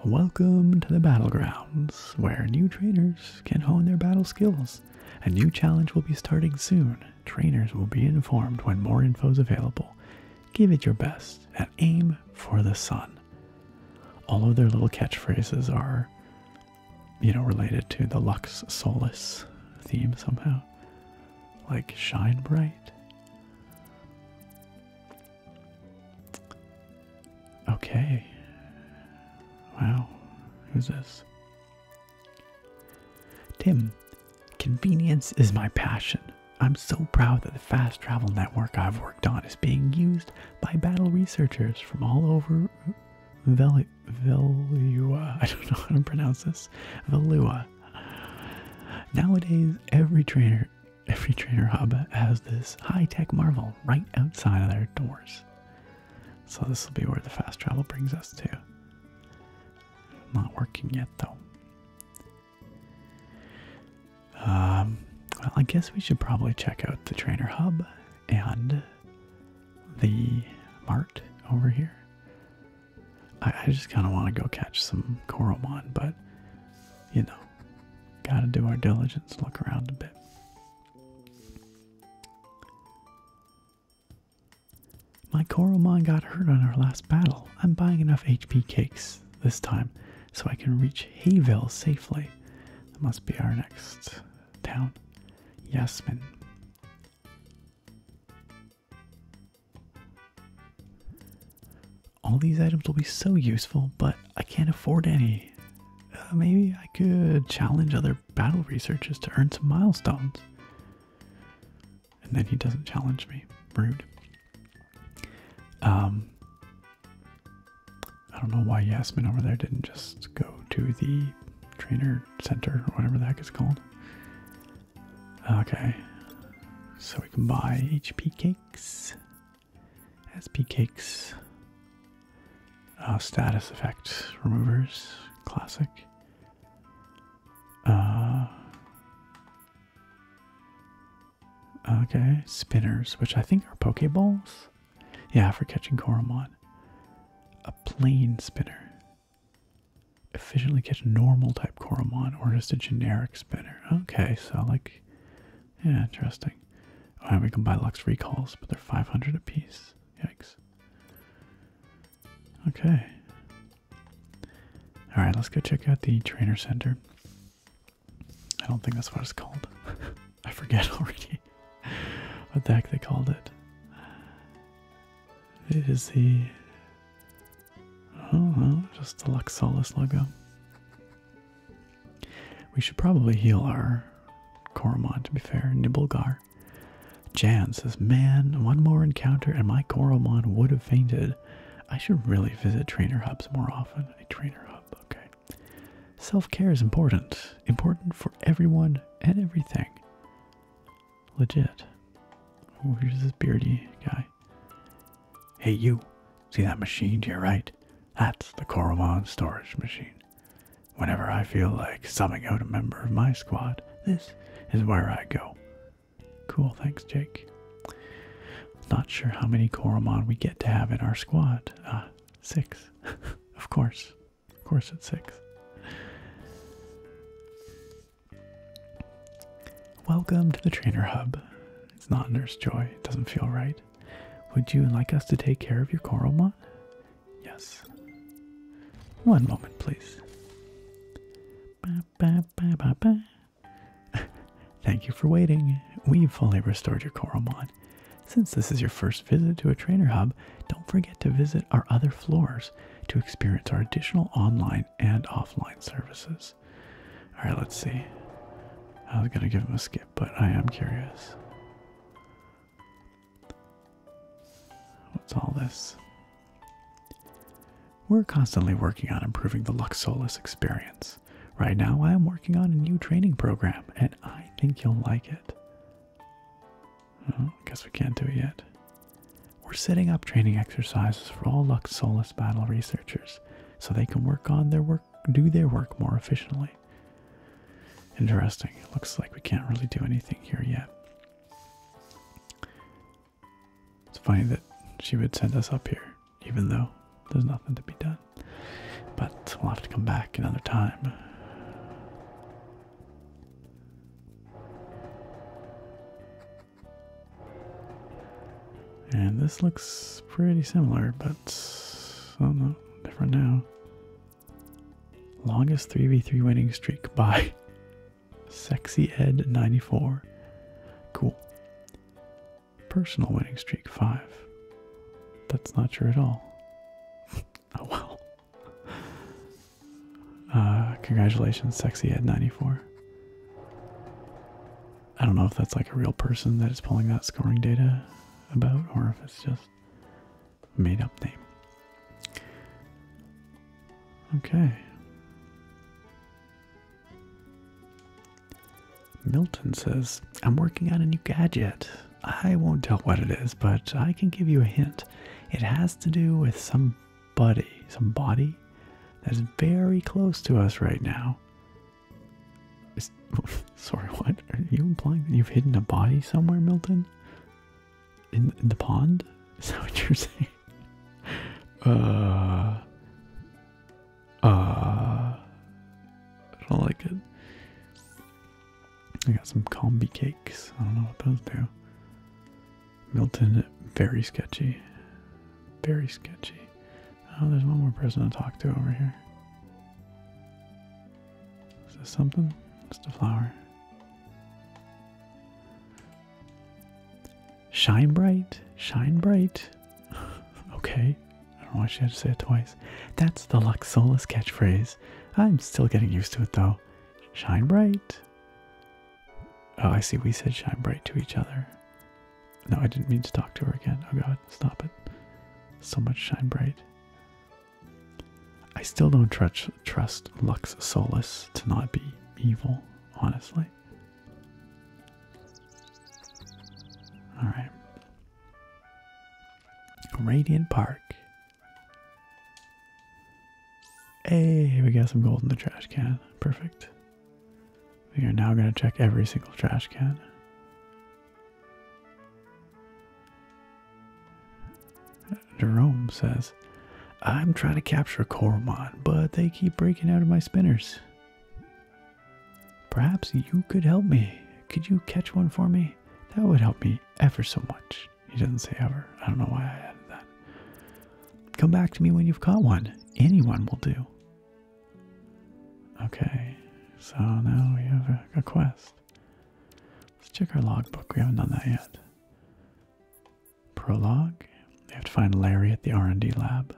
Welcome to the battlegrounds, where new trainers can hone their battle skills. A new challenge will be starting soon. Trainers will be informed when more info is available. Give it your best and aim for the sun. All of their little catchphrases are you know, related to the Lux Solis theme somehow. Like Shine Bright. Okay. Wow. Who's this? Tim. Convenience is my passion. I'm so proud that the fast travel network I've worked on is being used by battle researchers from all over Vel Valua. I don't know how to pronounce this. Velua. Nowadays, every trainer, every trainer hub has this high-tech marvel right outside of their doors. So this will be where the fast travel brings us to. Not working yet though. Um, well, I guess we should probably check out the trainer hub and the mart over here. I, just kind of want to go catch some Coromon, but you know, gotta do our diligence, look around a bit. My Coromon got hurt on our last battle. I'm buying enough HP cakes this time so I can reach Hayville safely. That must be our next town. Yasmin. All these items will be so useful, but I can't afford any. Uh, maybe I could challenge other battle researchers to earn some milestones. And then he doesn't challenge me. Rude. Um, I don't know why Yasmin over there didn't just go to the trainer center or whatever the heck it's called. Okay, so we can buy HP cakes, SP cakes, uh, status effect removers, classic. Uh, okay, spinners, which I think are Pokeballs. Yeah, for catching Koromon. A plane spinner. Efficiently catch normal type Koromon or just a generic spinner. Okay, so like, yeah, interesting. Oh, we can buy Lux Recalls, but they're 500 apiece. Yikes. Okay. Alright, let's go check out the trainer center. I don't think that's what it's called. I forget already. what the heck they called it. It is the I oh, just the Luxolus logo. We should probably heal our Coromon to be fair. Nibblegar. Jan says, Man, one more encounter and my Coromon would have fainted. I should really visit trainer hubs more often. A trainer hub, okay. Self care is important. Important for everyone and everything. Legit. Oh, here's this beardy guy. Hey, you. See that machine to your right? That's the Koromon storage machine. Whenever I feel like summoning out a member of my squad, this is where I go. Cool, thanks, Jake. Not sure how many Koromon we get to have in our squad. Ah, six, of course. Of course it's six. Welcome to the trainer hub. It's not Nurse Joy. It doesn't feel right. Would you like us to take care of your coral mon? Yes. One moment, please. Thank you for waiting. We've fully restored your Coralmon. Since this is your first visit to a trainer hub, don't forget to visit our other floors to experience our additional online and offline services. All right, let's see. I was going to give him a skip, but I am curious. What's all this? We're constantly working on improving the Luxolus experience. Right now, I am working on a new training program, and I think you'll like it. I guess we can't do it yet. We're setting up training exercises for all Lux Luxolus battle researchers so they can work on their work, do their work more efficiently. Interesting. It looks like we can't really do anything here yet. It's funny that she would send us up here, even though there's nothing to be done. But we'll have to come back another time. And this looks pretty similar, but oh no, different now. Longest 3v3 winning streak by Sexy Ed 94. Cool. Personal winning streak 5. That's not true at all. Oh well. Uh, congratulations, sexy head 94. I don't know if that's like a real person that is pulling that scoring data about, or if it's just a made up name. Okay. Milton says, I'm working on a new gadget. I won't tell what it is, but I can give you a hint. It has to do with somebody, somebody that's very close to us right now. sorry, what? Are you implying you've hidden a body somewhere, Milton? In, in the pond? Is that what you're saying? Uh. Uh. I don't like it. I got some combi cakes. I don't know what those do. Milton, very sketchy. Very sketchy. Oh, there's one more person to talk to over here. Is this something? Just a flower. Shine bright, shine bright. okay, I don't know why she had to say it twice. That's the Luxolus catchphrase. I'm still getting used to it though. Shine bright, Oh, I see. We said shine bright to each other. No, I didn't mean to talk to her again. Oh god, stop it. So much shine bright. I still don't trust Lux Solus to not be evil, honestly. All right. Radiant Park. Hey, we got some gold in the trash can. Perfect. We are now going to check every single trash can. Jerome says, I'm trying to capture Coromon, but they keep breaking out of my spinners. Perhaps you could help me. Could you catch one for me? That would help me ever so much. He doesn't say ever. I don't know why I added that. Come back to me when you've caught one. Anyone will do. Okay, so now we have a, quest. Let's check our logbook. We haven't done that yet. Prologue. We have to find Larry at the R&D lab.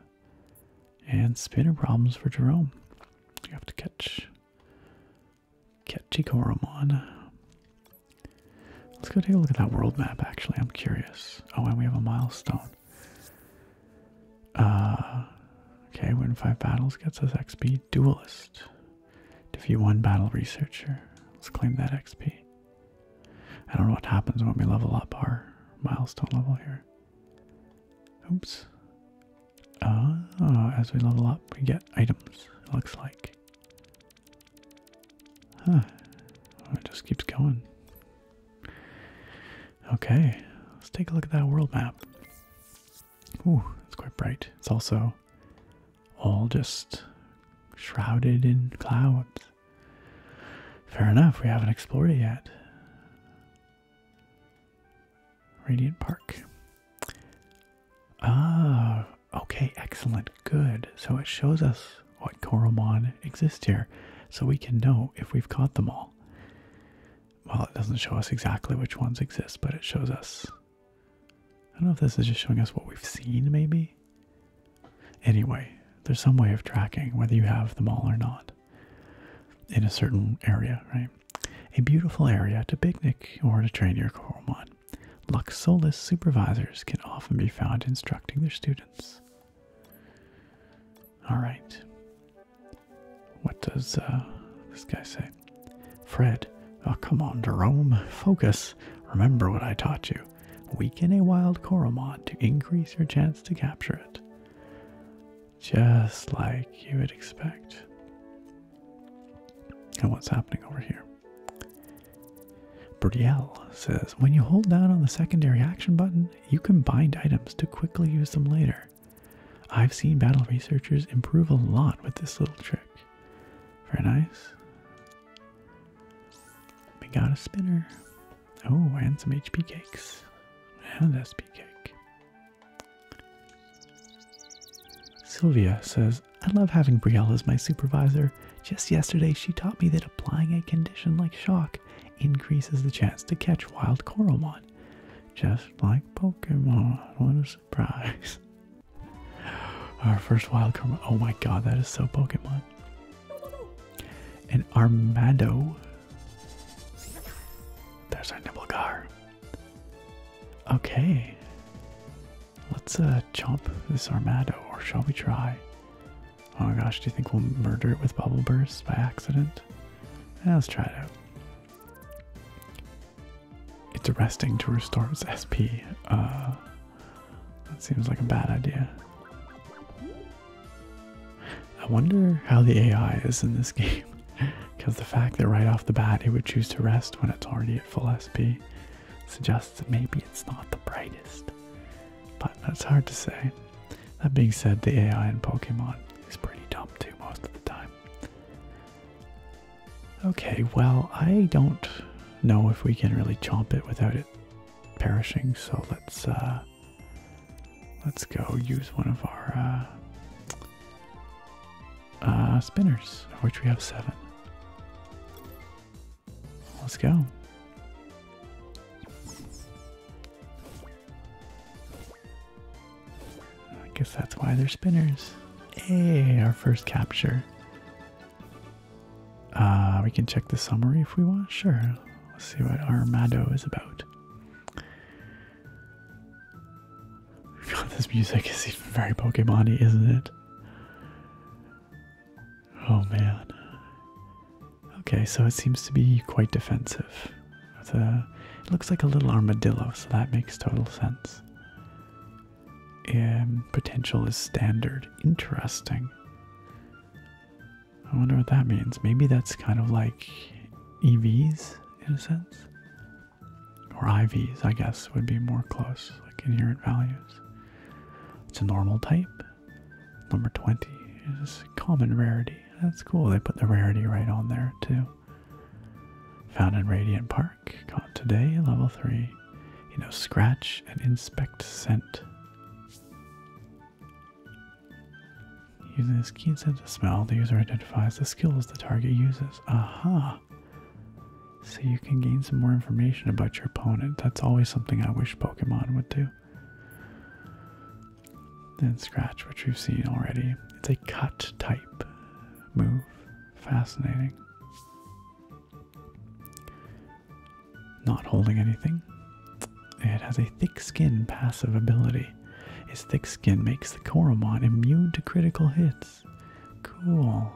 And spinner problems for Jerome. You have to catch Ketchikoromon. Let's go take a look at that world map, actually. I'm curious. Oh, and we have a milestone. Uh, okay, win five battles gets us XP. Duelist. Defeat one battle researcher. Let's claim that XP. I don't know what happens when we level up our milestone level here. Oops. uh, as we level up, we get items, it looks like. Huh. It just keeps going. Okay, let's take a look at that world map. Ooh, it's quite bright. It's also all just shrouded in clouds. Fair enough, we haven't explored it yet. Radiant Park. Ah, Okay, excellent, good. So it shows us what Koromon exist here, so we can know if we've caught them all. Well, it doesn't show us exactly which ones exist, but it shows us. I don't know if this is just showing us what we've seen, maybe? Anyway, there's some way of tracking whether you have them all or not in a certain area, right? A beautiful area to picnic or to train your Koromon. Luxolis supervisors can often be found instructing their students. All right. What does uh, this guy say? Fred, oh come on, Jerome, focus. Remember what I taught you. Weaken a wild Coromon to increase your chance to capture it. Just like you would expect. And what's happening over here? Brielle says, when you hold down on the secondary action button, you can bind items to quickly use them later. I've seen battle researchers improve a lot with this little trick. Very nice. We got a spinner. Oh, and some HP cakes. And SP cake. Sylvia says, I love having Brielle as my supervisor. Just yesterday, she taught me that applying a condition like shock increases the chance to catch wild Coromon. Just like Pokemon. What a surprise. Our first wild Coromon. Oh my god, that is so Pokemon. And our Armado. There's our Nibblegar. Okay. Let's uh, chomp this Armado, or shall we try? Oh my gosh, do you think we'll murder it with Bubble Burst by accident? let's try it out. It's resting to restore its SP. Uh, that seems like a bad idea. I wonder how the AI is in this game. Because the fact that right off the bat it would choose to rest when it's already at full SP suggests that maybe it's not the brightest. But that's hard to say. That being said, the AI in Pokemon is pretty dumb too most of the time. Okay, well, I don't know if we can really chomp it without it perishing, so let's uh let's go use one of our uh uh spinners, of which we have seven. Let's go. I guess that's why they're spinners. Hey, our first capture. Uh, we can check the summary if we want. Sure. Let's see what our Mado is about. this music is very pokemony isn't it? Oh man. Okay, so it seems to be quite defensive. Uh, it looks like a little armadillo, so that makes total sense. Um, potential is standard. Interesting. I wonder what that means. Maybe that's kind of like EVs in a sense. Or IVs, I guess, would be more close, like inherent values. It's a normal type. Number 20 is common rarity. That's cool. They put the rarity right on there too. Found in Radiant Park. Caught today, level 3. You know, scratch and inspect scent. Using his keen sense of smell, the user identifies the skills the target uses. Aha! so you can gain some more information about your opponent. That's always something I wish Pokemon would do. Then Scratch, which we've seen already. It's a cut type move. Fascinating. Not holding anything. It has a thick skin passive ability. Its thick skin makes the Koromon immune to critical hits. Cool.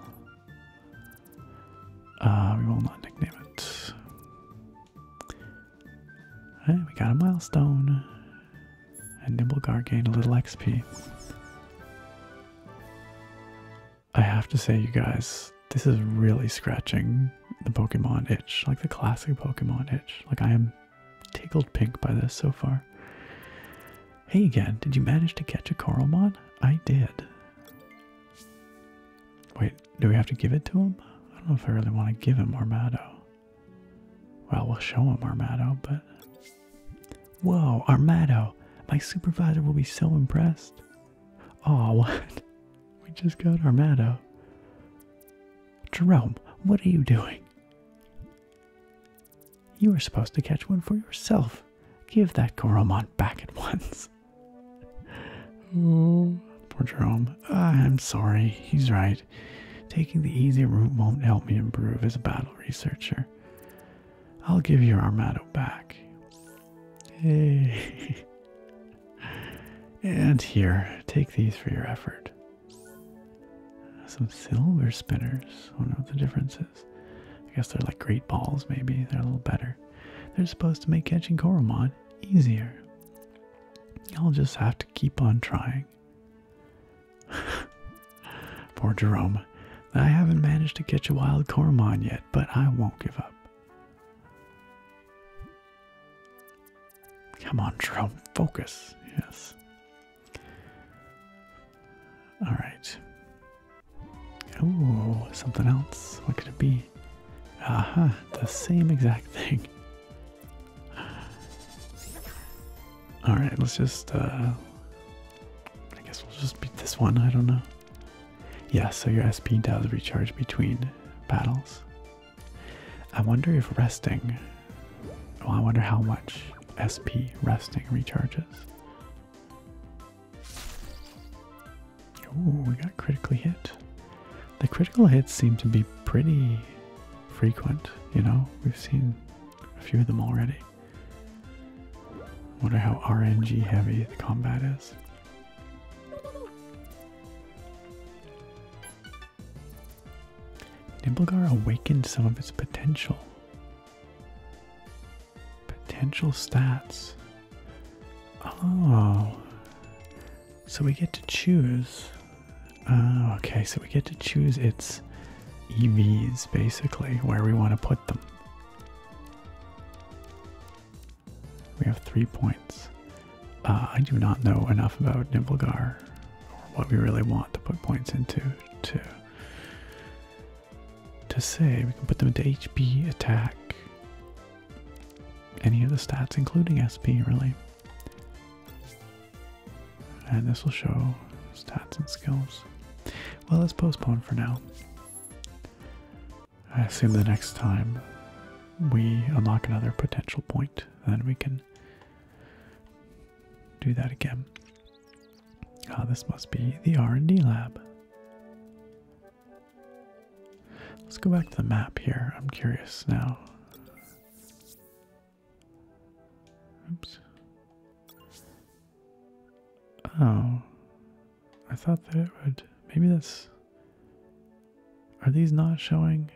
Uh, we will not nickname it. Right, we got a milestone. And Nimblegar gained a little XP. I have to say, you guys, this is really scratching the Pokemon itch, like the classic Pokemon itch. Like, I am tickled pink by this so far. Hey again, did you manage to catch a Coralmon? I did. Wait, do we have to give it to him? I don't know if I really want to give him our Mado. Well, we'll show him our Mado, but. Whoa, our Mado! My supervisor will be so impressed. Oh, what? We just got our Mado. Jerome, what are you doing? You were supposed to catch one for yourself. Give that Goromon back at once. Oh, poor Jerome. Ah, I'm sorry. He's right. Taking the easy route won't help me improve as a battle researcher. I'll give your Armado back. Hey. and here, take these for your effort. Some silver spinners. I wonder what the difference is. I guess they're like great balls, maybe. They're a little better. They're supposed to make catching Koromon easier. I'll just have to keep on trying. Poor Jerome. I haven't managed to catch a wild Koromon yet, but I won't give up. Come on, Jerome, focus. Yes. Alright. Ooh, something else. What could it be? Aha, the same exact thing. Alright, let's just, uh, I guess we'll just beat this one. I don't know. Yeah, so your SP does recharge between battles. I wonder if resting, well, I wonder how much SP resting recharges. Oh, we got critically hit. The critical hits seem to be pretty frequent, you know? We've seen a few of them already. Wonder how RNG heavy the combat is. Nimblegar awakened some of its potential. Potential stats. Oh. So we get to choose. Oh, okay. So we get to choose its EVs, basically, where we want to put them. We have three points. Uh, I do not know enough about Nibblegar or what we really want to put points into to, to say. We can put them into HP, attack, any of the stats, including SP, really. And this will show stats and skills. Well, let's postpone for now. I assume the next time we unlock another potential point, then we can do that again. Ah, this must be the R&D lab. Let's go back to the map here. I'm curious now. Oops. Oh. I thought that it would. Maybe that's. Are these not showing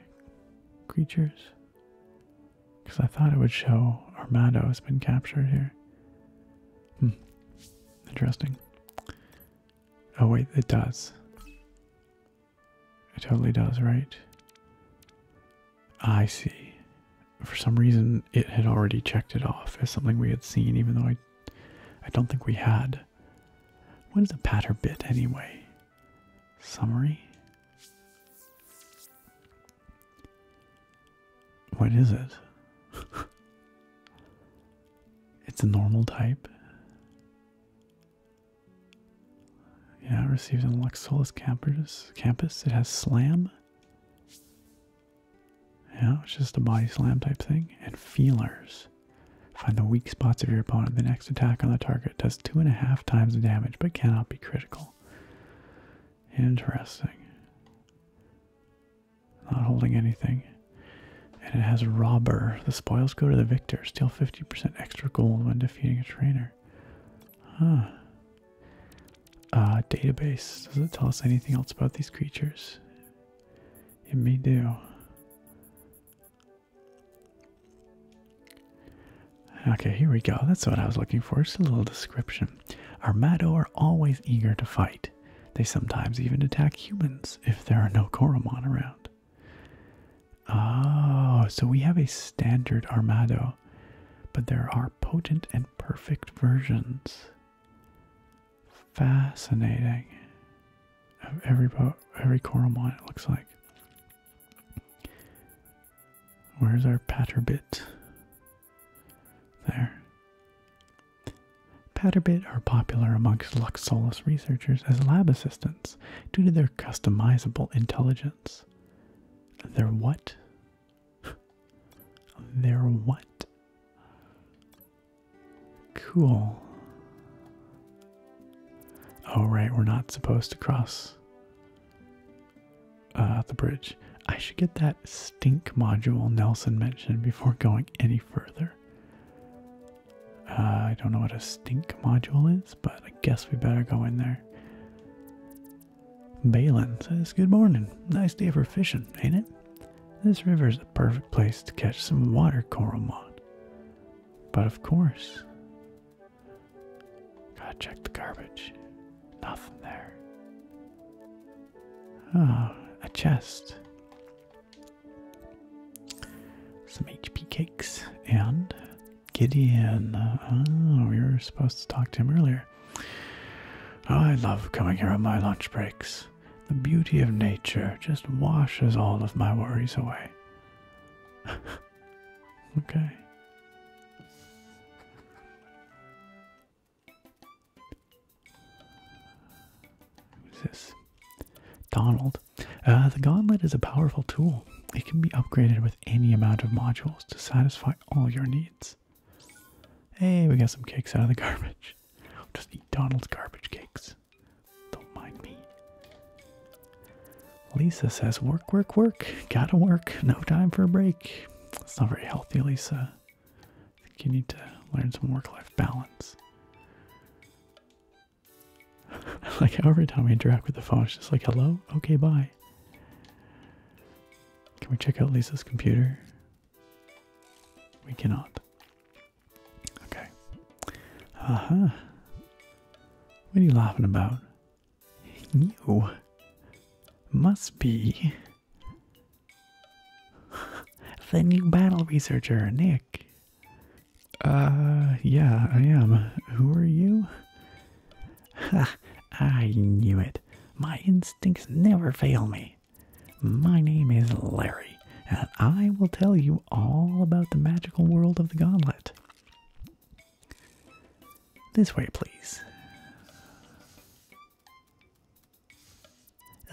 creatures? Because I thought it would show Armado has been captured here. Hmm. Interesting. Oh, wait, it does. It totally does, right? I see. For some reason, it had already checked it off as something we had seen, even though I, I don't think we had. What is a patter bit anyway? Summary? What is it? It's a normal type. Yeah, it receives an Luxolus Campus. It has Slam. Yeah, it's just a body slam type thing. And feelers. Find the weak spots of your opponent. The next attack on the target does two and a half times the damage, but cannot be critical. Interesting. Not holding anything. And it has robber. The spoils go to the victor. Steal 50% extra gold when defeating a trainer. Huh. Uh, database. Does it tell us anything else about these creatures? It may do. Okay, here we go. That's what I was looking for. It's a little description. Our Armado are always eager to fight. They sometimes even attack humans if there are no Koromon around. Oh, so we have a standard Armado, but there are potent and perfect versions. Fascinating. every boat, every Koromon, it looks like. Where's our Patterbit? There. Patterbit are popular amongst Luxolus researchers as lab assistants due to their customizable intelligence. Their what? their what? Cool. Oh, right, we're not supposed to cross uh, the bridge. I should get that stink module Nelson mentioned before going any further. Uh, I don't know what a stink module is, but I guess we better go in there. Balin says, Good morning. Nice day for fishing, ain't it? This river is the perfect place to catch some water coral mod. But of course, gotta check the garbage. Nothing there. Ah, a chest some HP cakes and Gideon. Oh, we were supposed to talk to him earlier. Oh, I love coming here on my lunch breaks. The beauty of nature just washes all of my worries away. okay. Who's this? Donald. Uh, the gauntlet is a powerful tool. It can be upgraded with any amount of modules to satisfy all your needs. Hey, we got some cakes out of the garbage. just eat Donald's garbage cakes. Don't mind me. Lisa says, work, work, work. Gotta work. No time for a break. It's not very healthy, Lisa. I think you need to learn some work life balance. like every time we interact with the phone, it's just like, hello? Okay, bye. Can we check out Lisa's computer? We cannot. Okay. Uh huh. What are you laughing about? You must be the new battle researcher, Nick. Uh, yeah, I am. Who are you? Ha! I knew it. My instincts never fail me. My name is Larry, and I will tell you all about the magical world of the goblet. This way, please.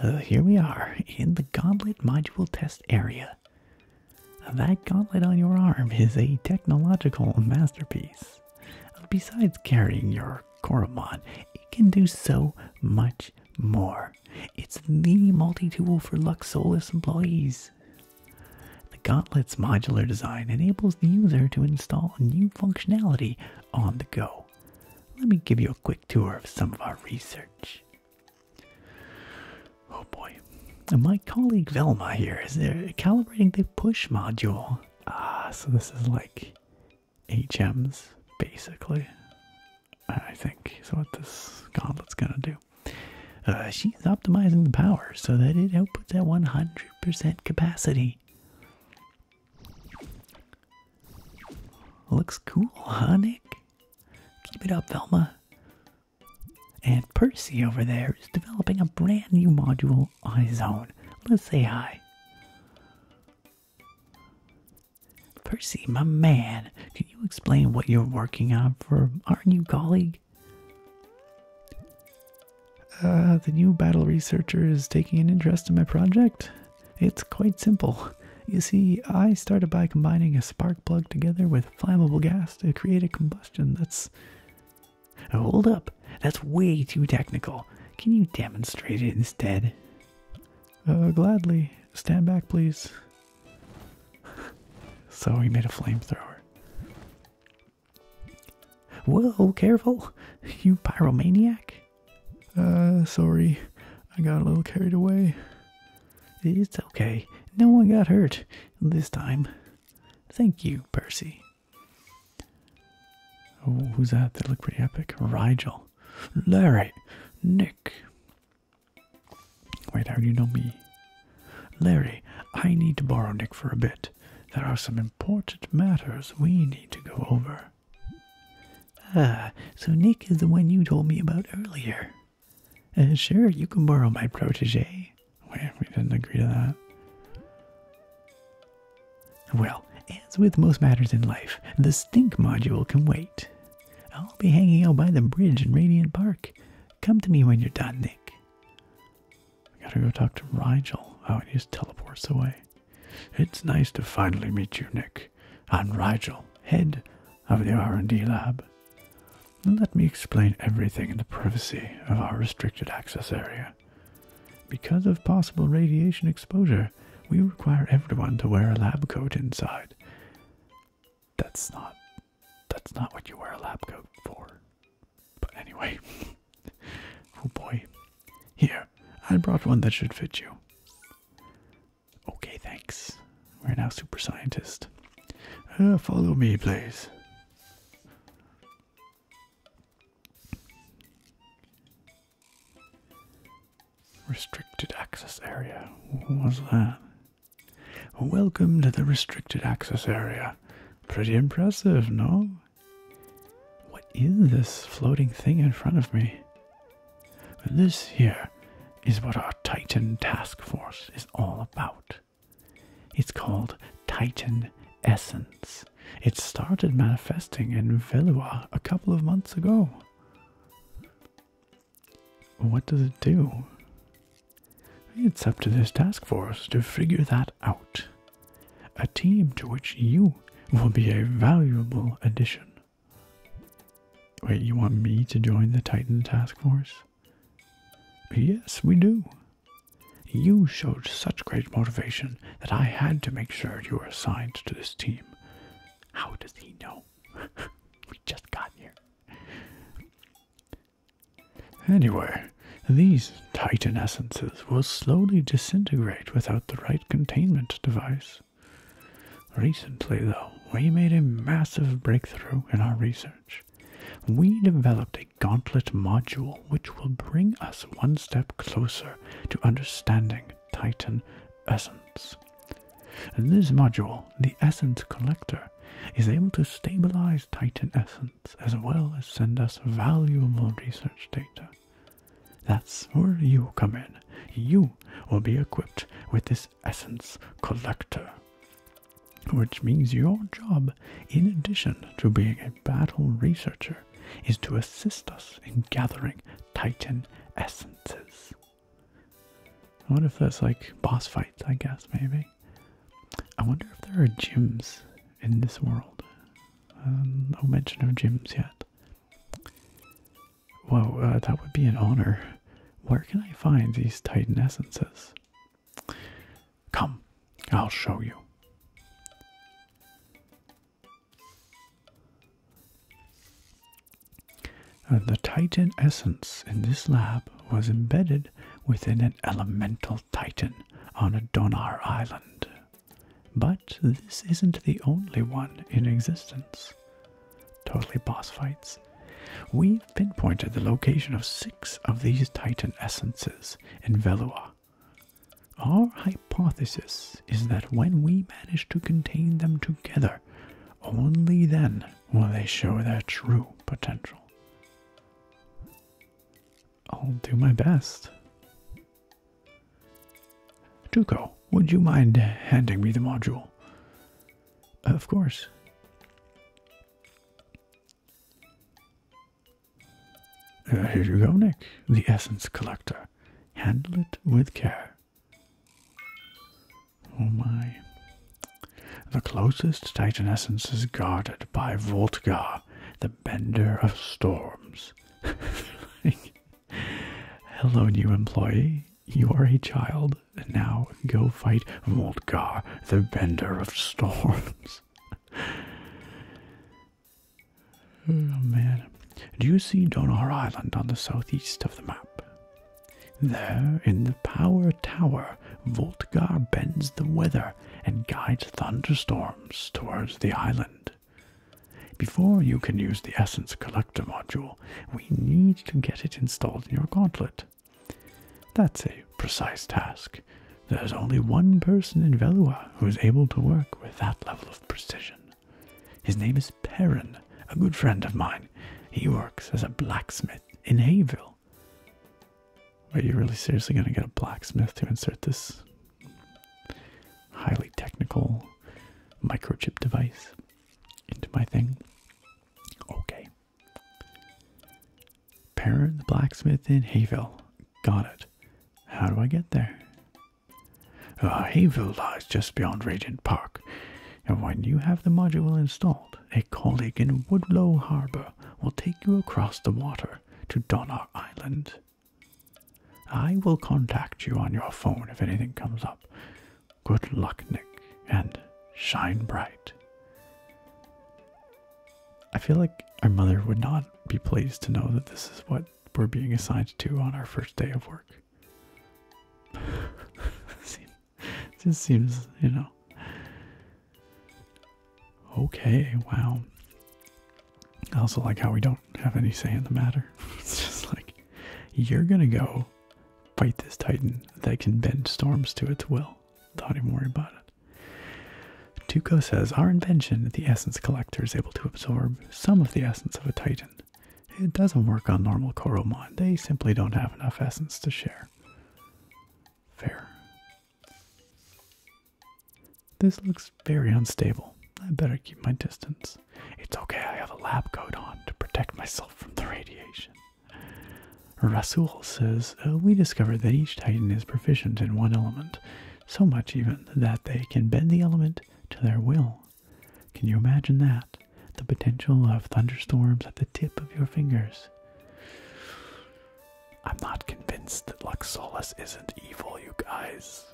Uh, here we are in the goblet module test area. That gauntlet on your arm is a technological masterpiece. Besides carrying your Koromon, it can do so much more. It's the multi tool for Luxolus employees. The gauntlet's modular design enables the user to install new functionality on the go. Let me give you a quick tour of some of our research. Oh boy. And my colleague Velma here is there calibrating the push module. Ah, so this is like HMs, basically. I think So what this gauntlet's gonna do. Uh, she's optimizing the power so that it outputs at 100% capacity. Looks cool, huh, Nick? Keep it up, Velma. And Percy over there is developing a brand new module on his own. Let's say hi. Percy, my man, can you explain what you're working on for our new colleague? Uh, the new battle researcher is taking an interest in my project. It's quite simple. You see, I started by combining a spark plug together with flammable gas to create a combustion. That's. Hold up. That's way too technical. Can you demonstrate it instead? Uh, gladly. Stand back, please. so he made a flamethrower. Whoa, careful! You pyromaniac! Uh, sorry. I got a little carried away. It's okay. No one got hurt this time. Thank you, Percy. Oh, who's that? They look pretty epic. Rigel. Larry. Nick. Wait, how do you know me? Larry, I need to borrow Nick for a bit. There are some important matters we need to go over. Ah, so Nick is the one you told me about earlier. Uh, sure, you can borrow my protege. Wait, we didn't agree to that. Well, as with most matters in life, the stink module can wait. I'll be hanging out by the bridge in Radiant Park. Come to me when you're done, Nick. gotta go talk to Rigel. Oh, he just teleports away. It's nice to finally meet you, Nick. I'm Rigel, head of the R&D lab. Let me explain everything in the privacy of our restricted access area. Because of possible radiation exposure, we require everyone to wear a lab coat inside. That's not that's not what you wear a lab coat for. But anyway. oh boy. Here, I brought one that should fit you. Okay, thanks. We're now super scientist. Uh, follow me, please. Restricted access area. What was that? Welcome to the restricted access area. Pretty impressive, no? What is this floating thing in front of me? This here is what our Titan task force is all about. It's called Titan Essence. It started manifesting in Velua a couple of months ago. What does it do? It's up to this task force to figure that out. A team to which you will be a valuable addition. Wait, you want me to join the Titan Task Force? Yes, we do. You showed such great motivation that I had to make sure you were assigned to this team. How does he know? we just got here. Anyway, these Titan essences will slowly disintegrate without the right containment device. Recently, though, we made a massive breakthrough in our research we developed a gauntlet module which will bring us one step closer to understanding Titan essence. In This module, the Essence Collector, is able to stabilize Titan essence as well as send us valuable research data. That's where you come in. You will be equipped with this Essence Collector which means your job, in addition to being a battle researcher, is to assist us in gathering Titan essences. What if that's like boss fights, I guess, maybe? I wonder if there are gyms in this world. Um, no mention of gyms yet. Whoa, uh, that would be an honor. Where can I find these Titan essences? Come, I'll show you. Uh, the Titan essence in this lab was embedded within an elemental Titan on a Donar island. But this isn't the only one in existence. Totally boss fights We've pinpointed the location of six of these Titan essences in Velua. Our hypothesis is that when we manage to contain them together, only then will they show their true potential. I'll do my best. Tuco, would you mind handing me the module? Of course. Uh, here you go, Nick. The Essence Collector. Handle it with care. Oh my. The closest Titan Essence is guarded by Voltgar, the Bender of Storms. Hello, new employee. You are a child now go fight Volgar, the bender of storms. Oh, man. Do you see Donar Island on the southeast of the map? There, in the power tower, Voltgar bends the weather and guides thunderstorms towards the island. Before you can use the Essence Collector module, we need to get it installed in your gauntlet. That's a precise task. There's only one person in Velua who is able to work with that level of precision. His name is Perrin, a good friend of mine. He works as a blacksmith in Hayville. Are you really seriously going to get a blacksmith to insert this highly technical microchip device into my thing? Okay. Parent the blacksmith in Hayville. Got it. How do I get there? Uh, Hayville lies just beyond Regent Park, and when you have the module installed, a colleague in Woodlow Harbor will take you across the water to Donner Island. I will contact you on your phone if anything comes up. Good luck, Nick, and shine bright. I feel like our mother would not be pleased to know that this is what we're being assigned to on our first day of work. it just seems, you know. Okay, wow. I also like how we don't have any say in the matter. it's just like, you're gonna go fight this titan that can bend storms to its will. Don't even worry about it. Tuco says Our invention, the Essence Collector, is able to absorb some of the essence of a Titan. It doesn't work on normal Koromon, they simply don't have enough essence to share. Fair. This looks very unstable. I better keep my distance. It's okay, I have a lab coat on to protect myself from the radiation. Rasul says uh, We discovered that each Titan is proficient in one element, so much even that they can bend the element to their will. Can you imagine that? The potential of thunderstorms at the tip of your fingers. I'm not convinced that Luxolus isn't evil, you guys.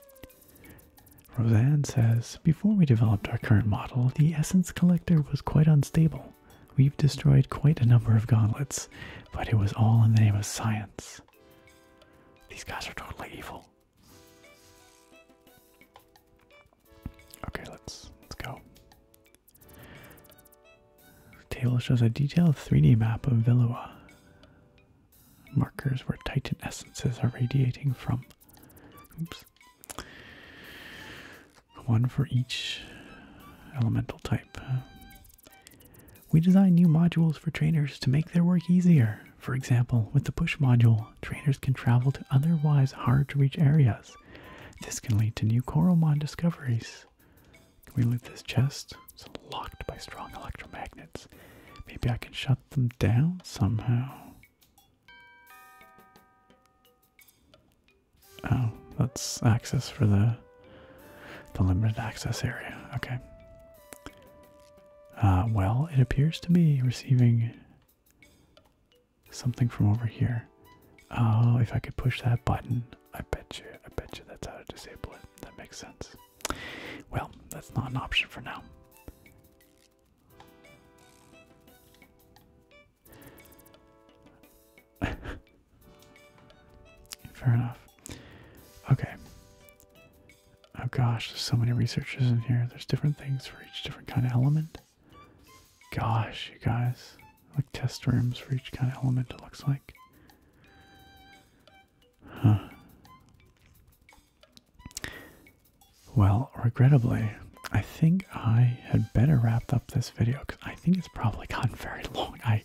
Roseanne says Before we developed our current model, the Essence Collector was quite unstable. We've destroyed quite a number of gauntlets, but it was all in the name of science. These guys are totally evil. Okay, let's let's go. The table shows a detailed 3D map of Villua. Markers where Titan essences are radiating from. Oops one for each elemental type. We design new modules for trainers to make their work easier. For example, with the push module, trainers can travel to otherwise hard to reach areas. This can lead to new Coromon discoveries. Can we loot this chest? It's locked by strong electromagnets. Maybe I can shut them down somehow. Oh, that's access for the the limited access area. Okay. Uh, well, it appears to be receiving something from over here. Oh, if I could push that button, I bet you, I bet you that's how to disable it. That makes sense. Well, that's not an option for now. Fair enough. Okay. Oh gosh, there's so many researchers in here. There's different things for each different kind of element. Gosh, you guys. Like test rooms for each kind of element, it looks like. Huh. Well, regrettably, I think I had better wrap up this video because I think it's probably gotten very long. I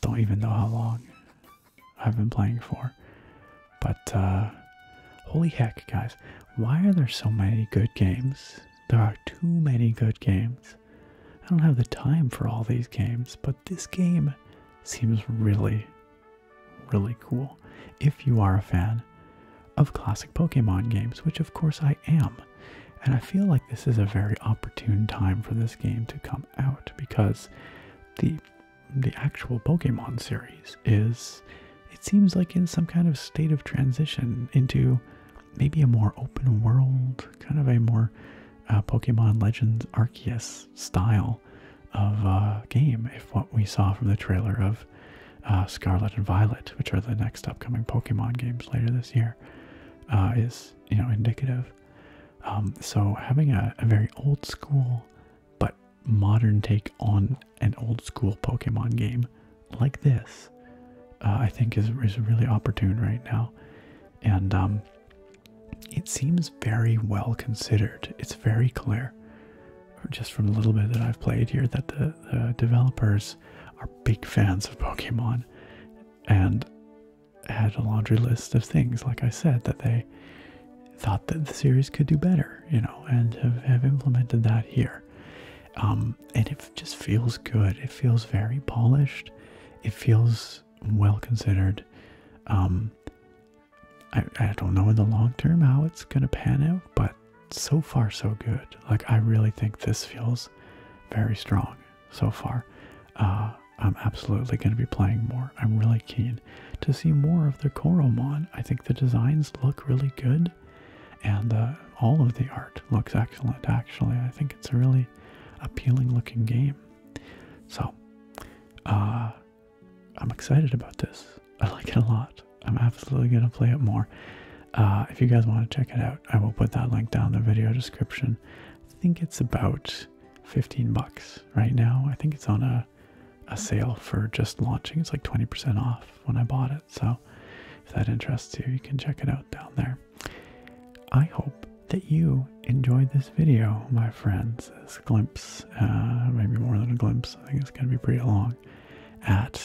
don't even know how long I've been playing for. But uh, holy heck, guys, why are there so many good games? There are too many good games. I don't have the time for all these games, but this game seems really, really cool if you are a fan of classic Pokemon games, which of course I am. And I feel like this is a very opportune time for this game to come out because the the actual Pokemon series is it seems like in some kind of state of transition into maybe a more open world, kind of a more uh, Pokemon Legends Arceus style of uh, game, if what we saw from the trailer of uh, Scarlet and Violet, which are the next upcoming Pokemon games later this year. Uh, is you know indicative. Um, so having a, very old school but modern take on an old school Pokemon game like this, uh, I think is is really opportune right now, and um, it seems very well considered. It's very clear, just from a little bit that I've played here, that the developers are big fans of Pokemon and had a laundry list of things, like I said, that they thought that the series could do better, you know, and have, implemented that here. Um, and it just feels good. It feels very polished. It feels well considered. Um, I don't know in the long term how it's going to pan out, but so far so good. Like, I really think this feels very strong so far. Uh, I'm absolutely going to be playing more. I'm really keen to see more of the Koromon. I think the designs look really good, and uh, all of the art looks excellent, actually. I think it's a really appealing looking game. So, uh, I'm excited about this. I like it a lot. I'm absolutely going to play it more. if you guys want to check it out, I will put that link down in the video description. I think it's about 15 bucks right now. I think it's on a a sale for just launching. It's like 20% off when I bought it. So if that interests you, you can check it out down there. I hope that you enjoyed this video, my friends. This glimpse, uh, maybe more than a glimpse, I think it's going to be pretty long, at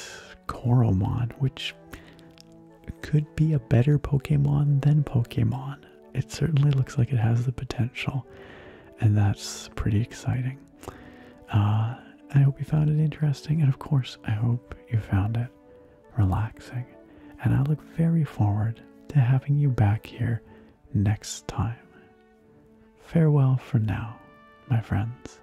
Coral Mod, which could be a better Pokemon than Pokemon. It certainly looks like it has the potential, and that's pretty exciting. Uh, I hope you found it interesting, and of course, I hope you found it relaxing. And I look very forward to having you back here next time. Farewell for now, my friends.